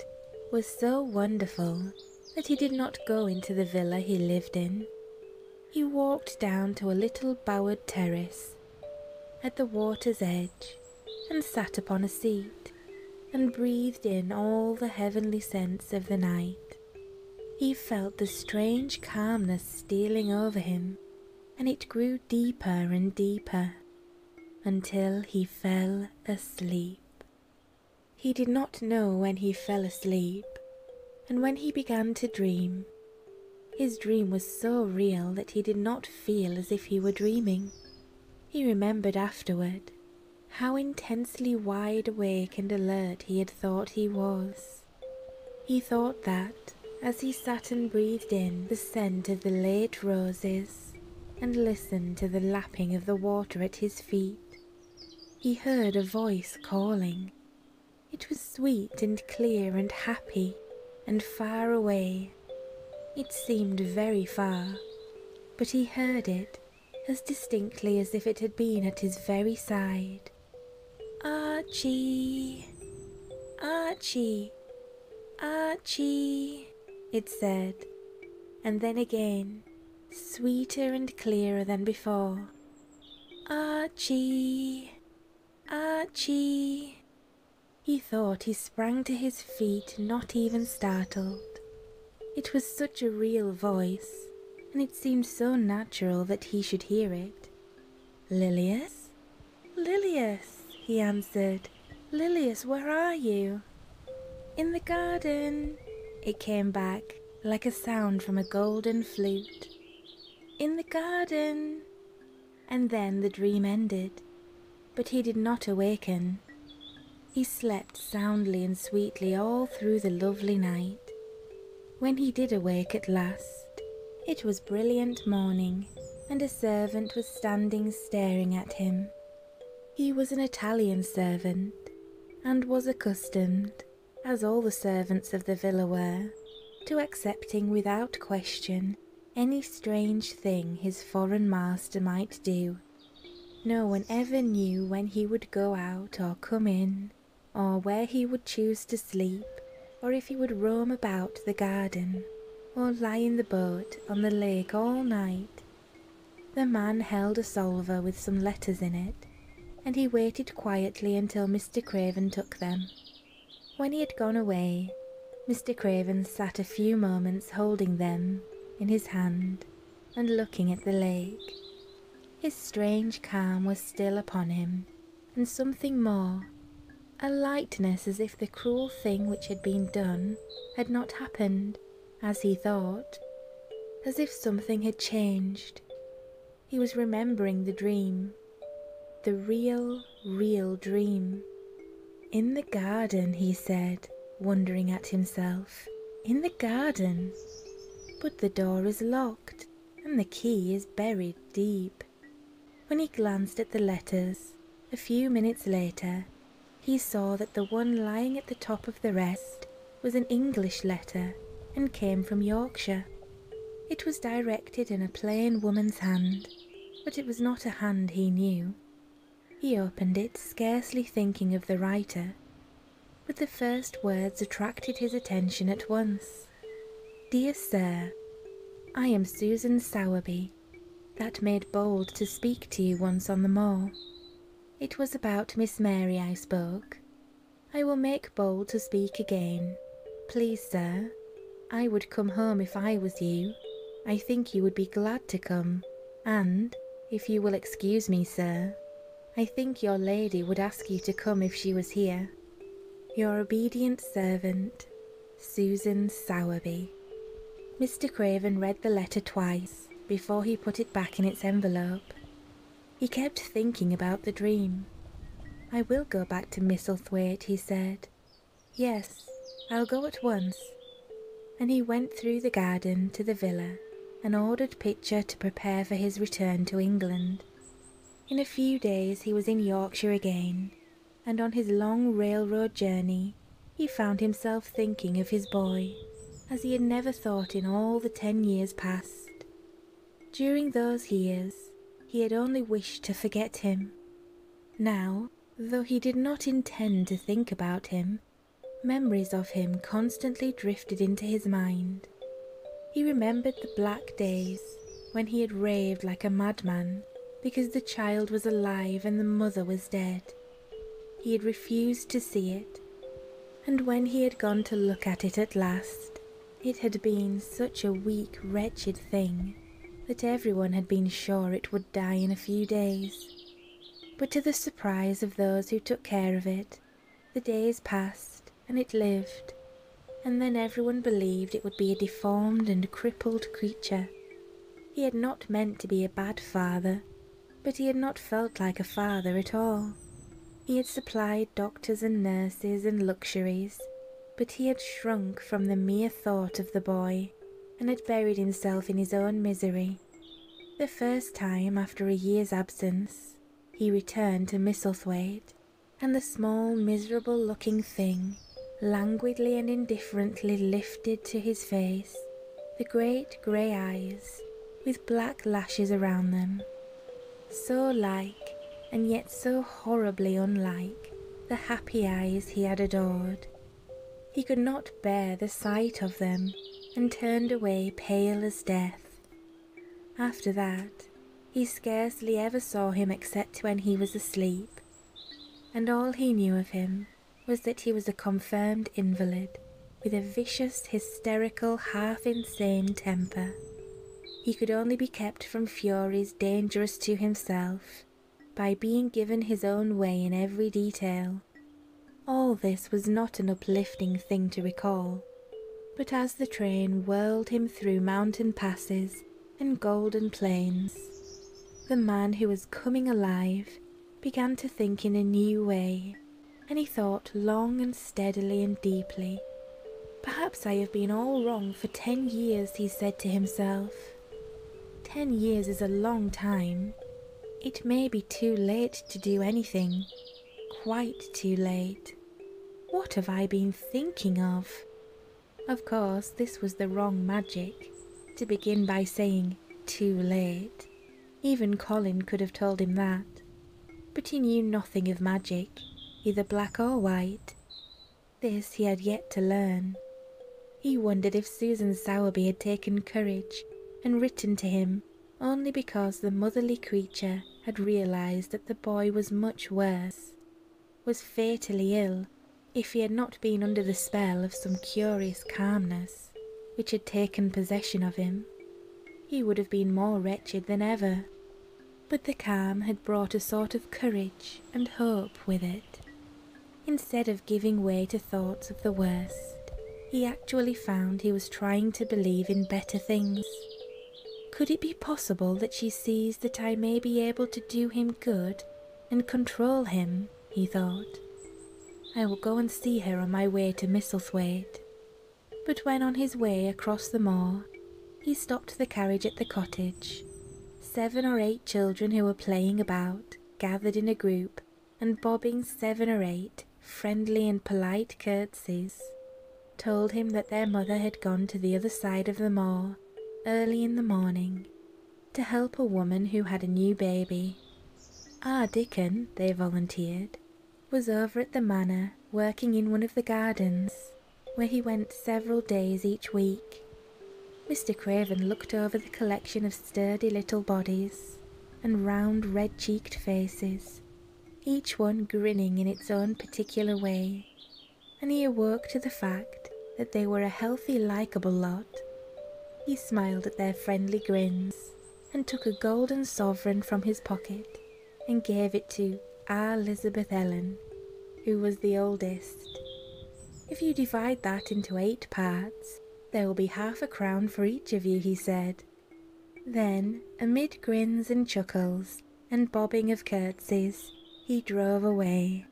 was so wonderful that he did not go into the villa he lived in. He walked down to a little bowered terrace at the water's edge and sat upon a seat and breathed in all the heavenly scents of the night. He felt the strange calmness stealing over him, and it grew deeper and deeper until he fell asleep. He did not know when he fell asleep, and when he began to dream, his dream was so real that he did not feel as if he were dreaming. He remembered afterward how intensely wide awake and alert he had thought he was. He thought that, as he sat and breathed in the scent of the late roses and listened to the lapping of the water at his feet. He heard a voice calling. It was sweet and clear and happy and far away. It seemed very far, but he heard it as distinctly as if it had been at his very side. Archie! Archie! Archie, it said, and then again, sweeter and clearer than before. Archie, Archie. He thought he sprang to his feet, not even startled. It was such a real voice, and it seemed so natural that he should hear it. Lilius? Lilius, he answered. Lilius, where are you? In the garden, it came back like a sound from a golden flute. In the garden. And then the dream ended, but he did not awaken. He slept soundly and sweetly all through the lovely night. When he did awake at last, it was brilliant morning, and a servant was standing staring at him. He was an Italian servant, and was accustomed, as all the servants of the villa were, to accepting without question any strange thing his foreign master might do. No one ever knew when he would go out or come in, or where he would choose to sleep, or if he would roam about the garden, or lie in the boat on the lake all night. The man held a salver with some letters in it, and he waited quietly until Mr. Craven took them. When he had gone away, Mr. Craven sat a few moments holding them in his hand and looking at the lake. His strange calm was still upon him, and something more, a lightness as if the cruel thing which had been done had not happened, as he thought, as if something had changed. He was remembering the dream, the real, real dream. In the garden, he said, wondering at himself. In the garden? But the door is locked, and the key is buried deep. When he glanced at the letters a few minutes later, he saw that the one lying at the top of the rest was an English letter and came from Yorkshire. It was directed in a plain woman's hand, but it was not a hand he knew. He opened it, scarcely thinking of the writer, but the first words attracted his attention at once. Dear Sir, I am Susan Sowerby, that made bold to speak to you once on the moor. It was about Miss Mary I spoke. I will make bold to speak again. Please, sir, I would come home if I was you. I think you would be glad to come, and, if you will excuse me, sir, I think your lady would ask you to come if she was here. Your obedient servant, Susan Sowerby. Mr. Craven read the letter twice before he put it back in its envelope. He kept thinking about the dream. I will go back to Misselthwaite, he said. Yes, I'll go at once. And he went through the garden to the villa and ordered Pitcher to prepare for his return to England. In a few days he was in Yorkshire again, and on his long railroad journey he found himself thinking of his boy as he had never thought in all the ten years past. During those years he had only wished to forget him. Now, though he did not intend to think about him, memories of him constantly drifted into his mind. He remembered the black days when he had raved like a madman because the child was alive and the mother was dead. He had refused to see it, and when he had gone to look at it at last, it had been such a weak, wretched thing that everyone had been sure it would die in a few days. But to the surprise of those who took care of it, the days passed and it lived, and then everyone believed it would be a deformed and crippled creature he had not meant to be a bad father, but he had not felt like a father at all. He had supplied doctors and nurses and luxuries, but he had shrunk from the mere thought of the boy and had buried himself in his own misery. The first time after a year's absence, he returned to Misselthwaite, and the small, miserable looking thing languidly and indifferently lifted to his face the great grey eyes with black lashes around them, so like and yet so horribly unlike the happy eyes he had adored. He could not bear the sight of them and turned away pale as death. After that, he scarcely ever saw him except when he was asleep, and all he knew of him was that he was a confirmed invalid with a vicious, hysterical, half insane temper. He could only be kept from furies dangerous to himself by being given his own way in every detail. All this was not an uplifting thing to recall, but as the train whirled him through mountain passes in golden plains. The man who was coming alive began to think in a new way, and he thought long and steadily and deeply. Perhaps I have been all wrong for ten years, he said to himself. Ten years is a long time. It may be too late to do anything, quite too late. What have I been thinking of? Of course, this was the wrong magic. To begin by saying, too late. Even Colin could have told him that. But he knew nothing of magic, either black or white. This he had yet to learn. He wondered if Susan Sowerby had taken courage and written to him only because the motherly creature had realized that the boy was much worse was fatally ill if he had not been under the spell of some curious calmness which had taken possession of him. He would have been more wretched than ever, but the calm had brought a sort of courage and hope with it. Instead of giving way to thoughts of the worst, he actually found he was trying to believe in better things. Could it be possible that she sees that I may be able to do him good and control him, he thought. I will go and see her on my way to Misselthwaite. But when on his way across the moor, he stopped the carriage at the cottage. Seven or eight children who were playing about gathered in a group and bobbing seven or eight friendly and polite curtsies told him that their mother had gone to the other side of the moor early in the morning to help a woman who had a new baby. Ah Dickon, they volunteered, was over at the manor working in one of the gardens, where he went several days each week. Mr. Craven looked over the collection of sturdy little bodies and round red cheeked faces, each one grinning in its own particular way, and he awoke to the fact that they were a healthy, likeable lot he smiled at their friendly grins, and took a golden sovereign from his pocket, and gave it to our Elizabeth Ellen, who was the oldest. If you divide that into eight parts, there will be half a crown for each of you, he said. Then, amid grins and chuckles, and bobbing of curtsies, he drove away,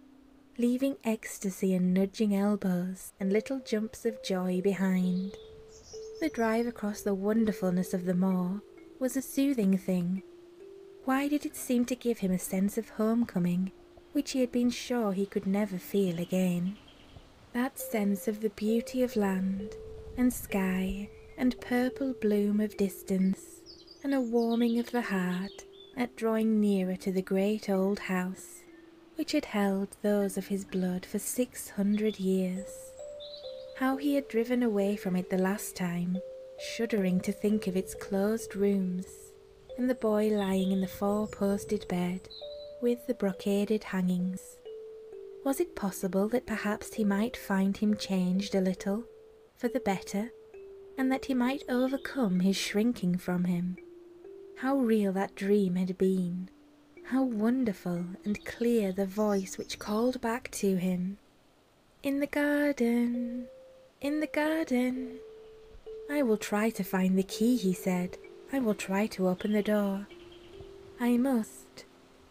leaving ecstasy and nudging elbows and little jumps of joy behind. The drive across the wonderfulness of the moor was a soothing thing. Why did it seem to give him a sense of homecoming, which he had been sure he could never feel again? That sense of the beauty of land and sky and purple bloom of distance and a warming of the heart at drawing nearer to the great old house which had held those of his blood for six hundred years. How he had driven away from it the last time, shuddering to think of its closed rooms, and the boy lying in the four posted bed with the brocaded hangings. Was it possible that perhaps he might find him changed a little for the better? and that he might overcome his shrinking from him. How real that dream had been! How wonderful and clear the voice which called back to him! In the garden, in the garden. I will try to find the key, he said. I will try to open the door. I must,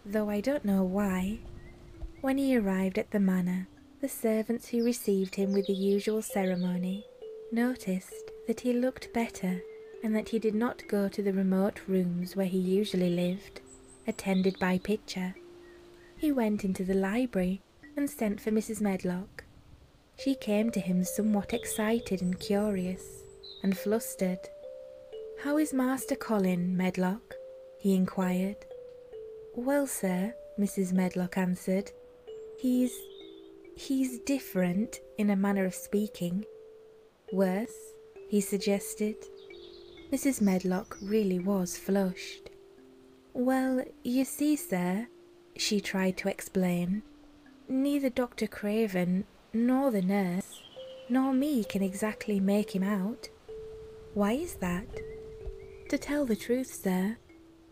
though I don't know why. When he arrived at the manor, the servants who received him with the usual ceremony noticed that he looked better and that he did not go to the remote rooms where he usually lived, attended by Pitcher. He went into the library and sent for Mrs. Medlock. She came to him somewhat excited and curious, and flustered. How is Master Colin, Medlock? he inquired. Well, sir, Mrs. Medlock answered, He's. he's different in a manner of speaking. Worse, he suggested. Mrs. Medlock really was flushed. Well, you see, sir, she tried to explain, neither Dr. Craven nor the nurse nor me can exactly make him out. Why is that? To tell the truth, sir,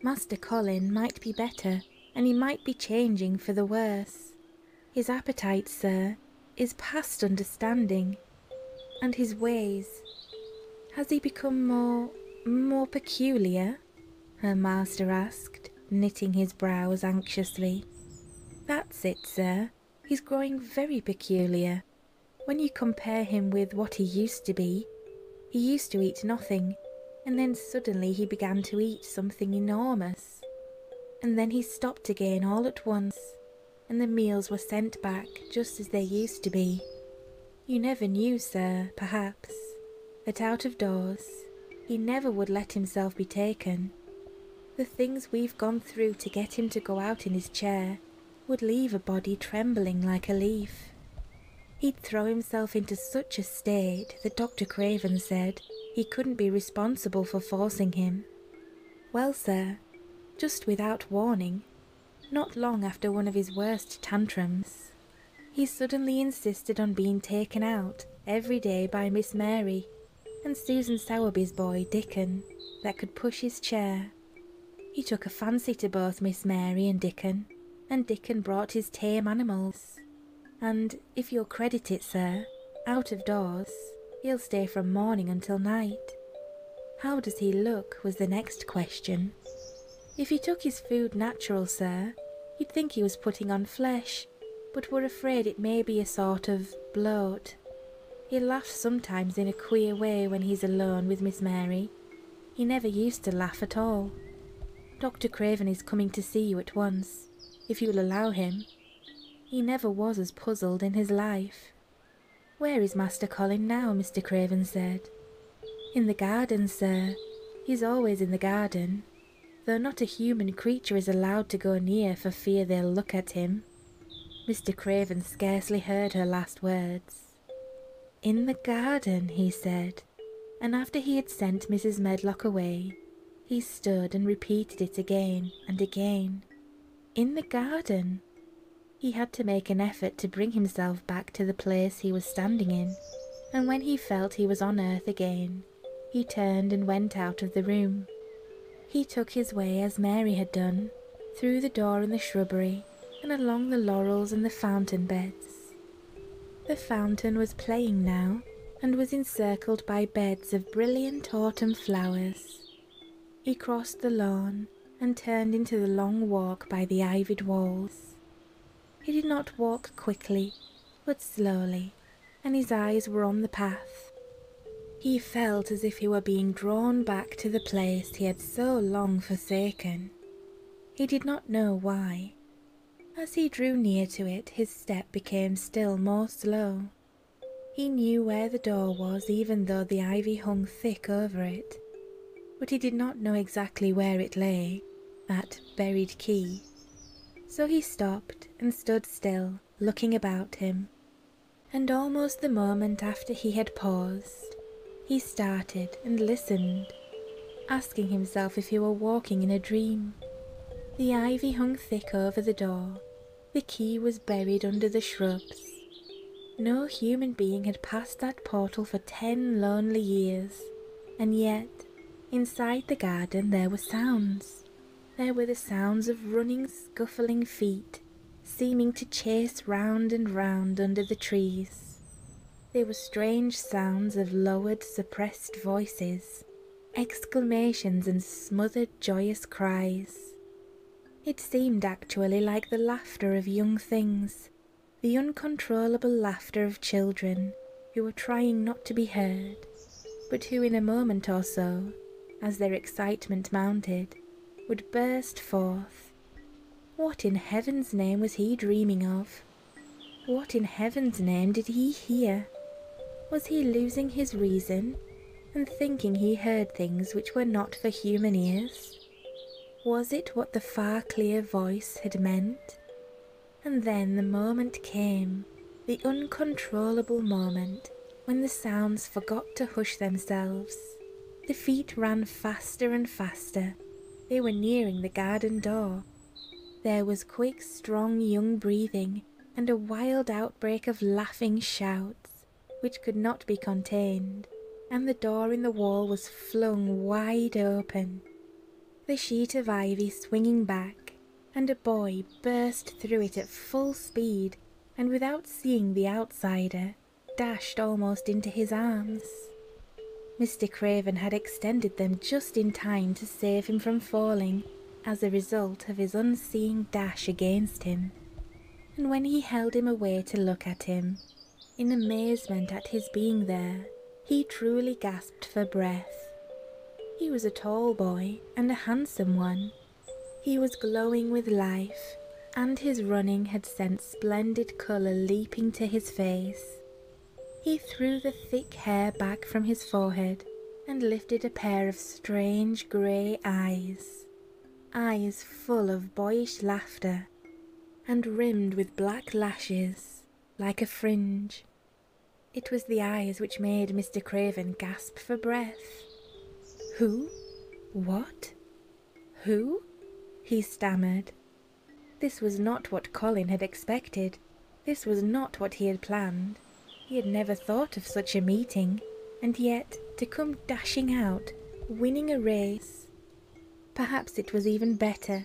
Master Colin might be better, and he might be changing for the worse. His appetite, sir, is past understanding, and his ways. Has he become more, more peculiar? Her master asked, knitting his brows anxiously. That's it, sir. He's growing very peculiar. When you compare him with what he used to be, he used to eat nothing, and then suddenly he began to eat something enormous. And then he stopped again all at once, and the meals were sent back just as they used to be. You never knew, sir, perhaps, that out of doors he never would let himself be taken. The things we've gone through to get him to go out in his chair would leave a body trembling like a leaf. He'd throw himself into such a state that Dr. Craven said he couldn't be responsible for forcing him. Well, sir, just without warning, not long after one of his worst tantrums, he suddenly insisted on being taken out every day by Miss Mary and Susan Sowerby's boy, Dickon, that could push his chair. He took a fancy to both Miss Mary and Dickon, and Dickon brought his tame animals. And if you'll credit it, sir, out of doors, he'll stay from morning until night. How does he look? was the next question. If he took his food natural, sir, you'd think he was putting on flesh, but we're afraid it may be a sort of bloat. He laughs sometimes in a queer way when he's alone with Miss Mary, he never used to laugh at all. Dr. Craven is coming to see you at once, if you'll allow him. He never was as puzzled in his life. Where is Master Colin now? Mr. Craven said. In the garden, sir. He's always in the garden, though not a human creature is allowed to go near for fear they'll look at him. Mr. Craven scarcely heard her last words. In the garden, he said and after he had sent Mrs. Medlock away, he stood and repeated it again and again. In the garden! He had to make an effort to bring himself back to the place he was standing in, and when he felt he was on earth again, he turned and went out of the room. He took his way as Mary had done, through the door in the shrubbery, and along the laurels and the fountain beds. The fountain was playing now and was encircled by beds of brilliant autumn flowers. He crossed the lawn and turned into the long walk by the ivied walls. He did not walk quickly, but slowly, and his eyes were on the path. He felt as if he were being drawn back to the place he had so long forsaken. He did not know why, as he drew near to it, his step became still more slow. He knew where the door was, even though the ivy hung thick over it, but he did not know exactly where it lay, that buried key. So he stopped and stood still, looking about him. And almost the moment after he had paused, he started and listened asking himself if he were walking in a dream. The ivy hung thick over the door. The key was buried under the shrubs. No human being had passed that portal for ten lonely years, and yet, inside the garden there were sounds. There were the sounds of running, scuffling feet, seeming to chase round and round under the trees. There were strange sounds of lowered, suppressed voices, exclamations, and smothered, joyous cries. It seemed actually like the laughter of young things, the uncontrollable laughter of children who were trying not to be heard, but who in a moment or so, as their excitement mounted, would burst forth. What in heaven's name was he dreaming of? What in heaven's name did he hear? Was he losing his reason and thinking he heard things which were not for human ears? Was it what the far clear voice had meant? And then the moment came, the uncontrollable moment, when the sounds forgot to hush themselves. The feet ran faster and faster. They were nearing the garden door there was quick, strong young breathing, and a wild outbreak of laughing shouts, which could not be contained, and the door in the wall was flung wide open, the sheet of ivy swinging back, and a boy burst through it at full speed, and without seeing the outsider, dashed almost into his arms. Mr. Craven had extended them just in time to save him from falling as a result of his unseeing dash against him, and when he held him away to look at him, in amazement at his being there, he truly gasped for breath. He was a tall boy and a handsome one. He was glowing with life, and his running had sent splendid colour leaping to his face. He threw the thick hair back from his forehead and lifted a pair of strange grey eyes, eyes full of boyish laughter and rimmed with black lashes like a fringe. It was the eyes which made Mr. Craven gasp for breath. Who? What? Who? he stammered, this was not what Colin had expected. This was not what he had planned. He had never thought of such a meeting, and yet to come dashing out, winning a race. Perhaps it was even better.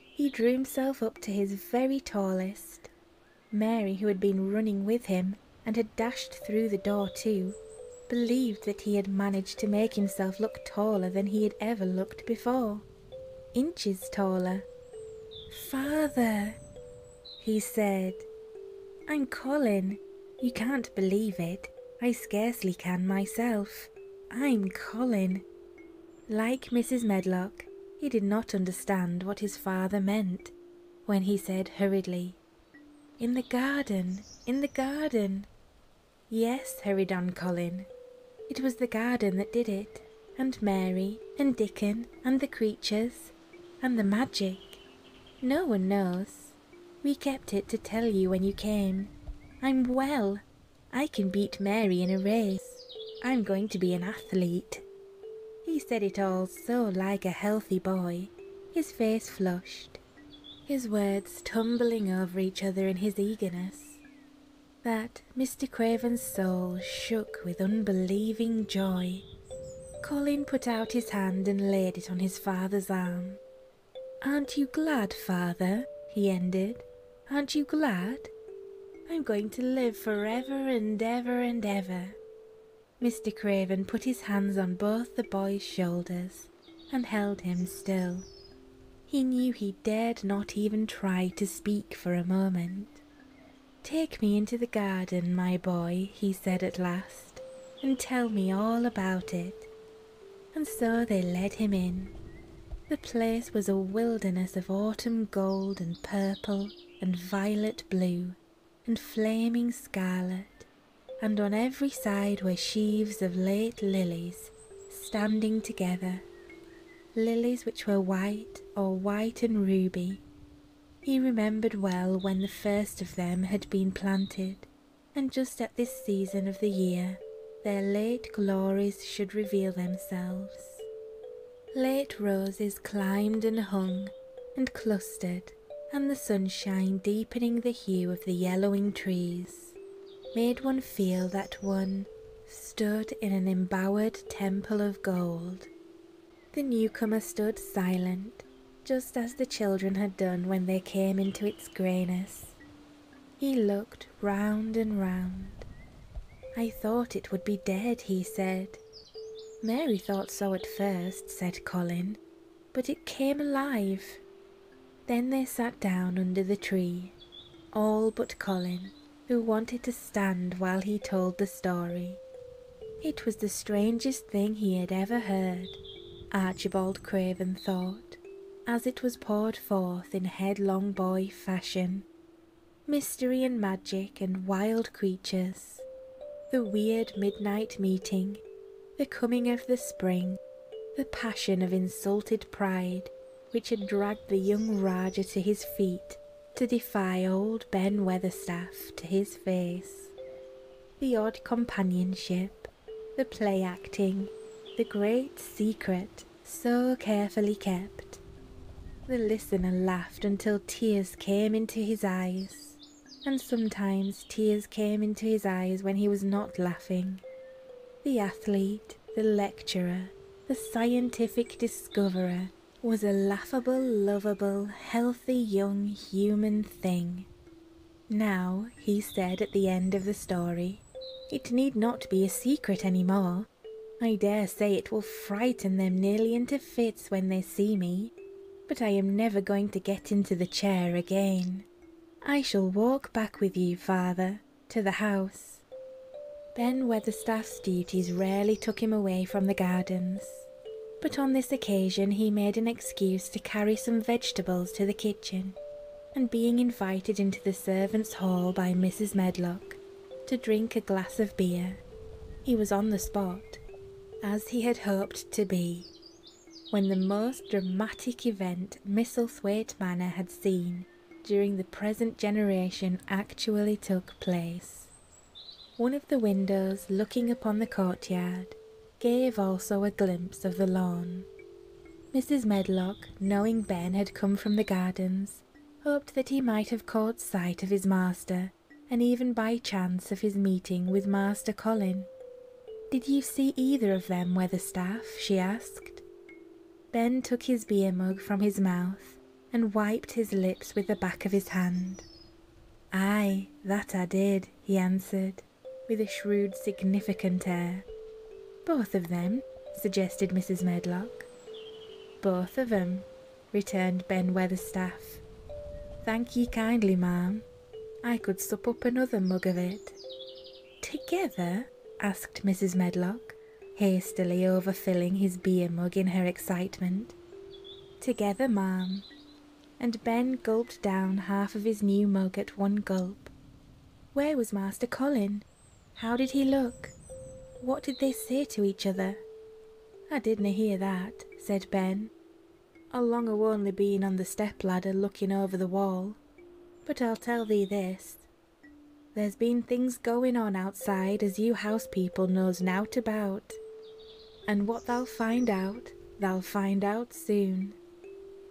He drew himself up to his very tallest. Mary, who had been running with him and had dashed through the door too, believed that he had managed to make himself look taller than he had ever looked before inches taller. Father, he said, I'm Colin. You can't believe it. I scarcely can myself. I'm Colin. Like Mrs. Medlock, he did not understand what his father meant when he said hurriedly, In the garden, in the garden. Yes, hurried on Colin. It was the garden that did it and Mary, and Dickon, and the creatures, and the magic. No one knows. We kept it to tell you when you came. I'm well. I can beat Mary in a race. I'm going to be an athlete. He said it all so like a healthy boy, his face flushed, his words tumbling over each other in his eagerness that Mr. Craven's soul shook with unbelieving joy. Colin put out his hand and laid it on his father's arm. Aren't you glad, father? he ended. Aren't you glad? I'm going to live forever and ever and ever. Mr. Craven put his hands on both the boy's shoulders and held him still. He knew he dared not even try to speak for a moment. Take me into the garden, my boy, he said at last, and tell me all about it. And so they led him in. The place was a wilderness of autumn gold and purple and violet blue and flaming scarlet, and on every side were sheaves of late lilies standing together, lilies which were white or white and ruby. He remembered well when the first of them had been planted, and just at this season of the year their late glories should reveal themselves. Late roses climbed and hung and clustered, and the sunshine deepening the hue of the yellowing trees made one feel that one stood in an embowered temple of gold. The newcomer stood silent, just as the children had done when they came into its greyness. He looked round and round. I thought it would be dead, he said. Mary thought so at first, said Colin, but it came alive. Then they sat down under the tree, all but Colin, who wanted to stand while he told the story. It was the strangest thing he had ever heard, Archibald Craven thought, as it was poured forth in headlong boy fashion. Mystery and magic and wild creatures, the weird midnight meeting, the coming of the spring, the passion of insulted pride which had dragged the young Rajah to his feet to defy old Ben Weatherstaff to his face. The odd companionship, the play acting, the great secret so carefully kept. The listener laughed until tears came into his eyes, and sometimes tears came into his eyes when he was not laughing. The athlete, the lecturer, the scientific discoverer was a laughable, lovable, healthy young human thing. Now, he said at the end of the story, it need not be a secret any more. I dare say it will frighten them nearly into fits when they see me, but I am never going to get into the chair again. I shall walk back with you, father, to the house. Ben Weatherstaff's duties rarely took him away from the gardens, but on this occasion he made an excuse to carry some vegetables to the kitchen, and being invited into the servants' hall by Mrs. Medlock to drink a glass of beer, he was on the spot, as he had hoped to be, when the most dramatic event Misselthwaite Manor had seen during the present generation actually took place. One of the windows looking upon the courtyard gave also a glimpse of the lawn. Mrs. Medlock, knowing Ben had come from the gardens, hoped that he might have caught sight of his master, and even by chance of his meeting with Master Colin. Did you see either of them, Weatherstaff? she asked. Ben took his beer mug from his mouth and wiped his lips with the back of his hand. Ay, that I did, he answered, with a shrewd, significant air. Both of them, suggested Mrs. Medlock. Both of em, returned Ben Weatherstaff. Thank ye kindly, ma'am. I could sup up another mug of it. Together? asked Mrs. Medlock, hastily overfilling his beer mug in her excitement. Together, ma'am. And Ben gulped down half of his new mug at one gulp. Where was Master Colin? How did he look? What did they say to each other? I didna hear that, said Ben. I'll long only been on the step ladder looking over the wall. But I'll tell thee this, there's been things going on outside as you house people knows nowt about, and what thou'll find out, thou'll find out soon.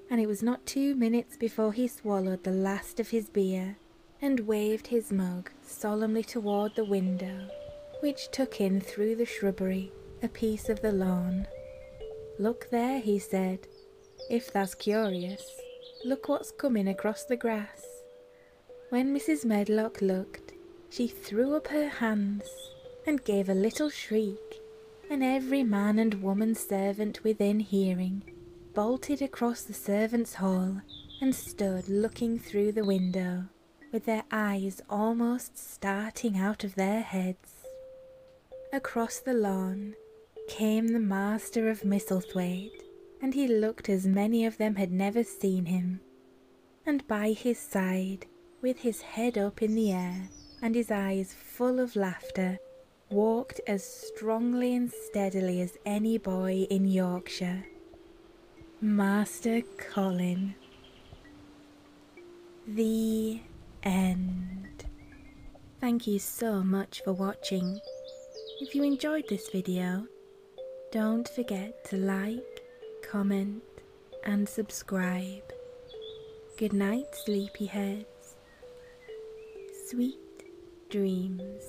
And it was not two minutes before he swallowed the last of his beer and waved his mug solemnly toward the window, which took in through the shrubbery a piece of the lawn. Look there, he said, if thou's curious, look what's coming across the grass. When Mrs. Medlock looked, she threw up her hands and gave a little shriek, and every man and woman servant within hearing bolted across the servants' hall and stood looking through the window, with their eyes almost starting out of their heads. Across the lawn came the master of Misselthwaite and he looked as many of them had never seen him. And by his side, with his head up in the air and his eyes full of laughter, walked as strongly and steadily as any boy in Yorkshire. Master Colin. The end. Thank you so much for watching. If you enjoyed this video, don't forget to like, comment, and subscribe. Good night, sleepyheads. Sweet dreams.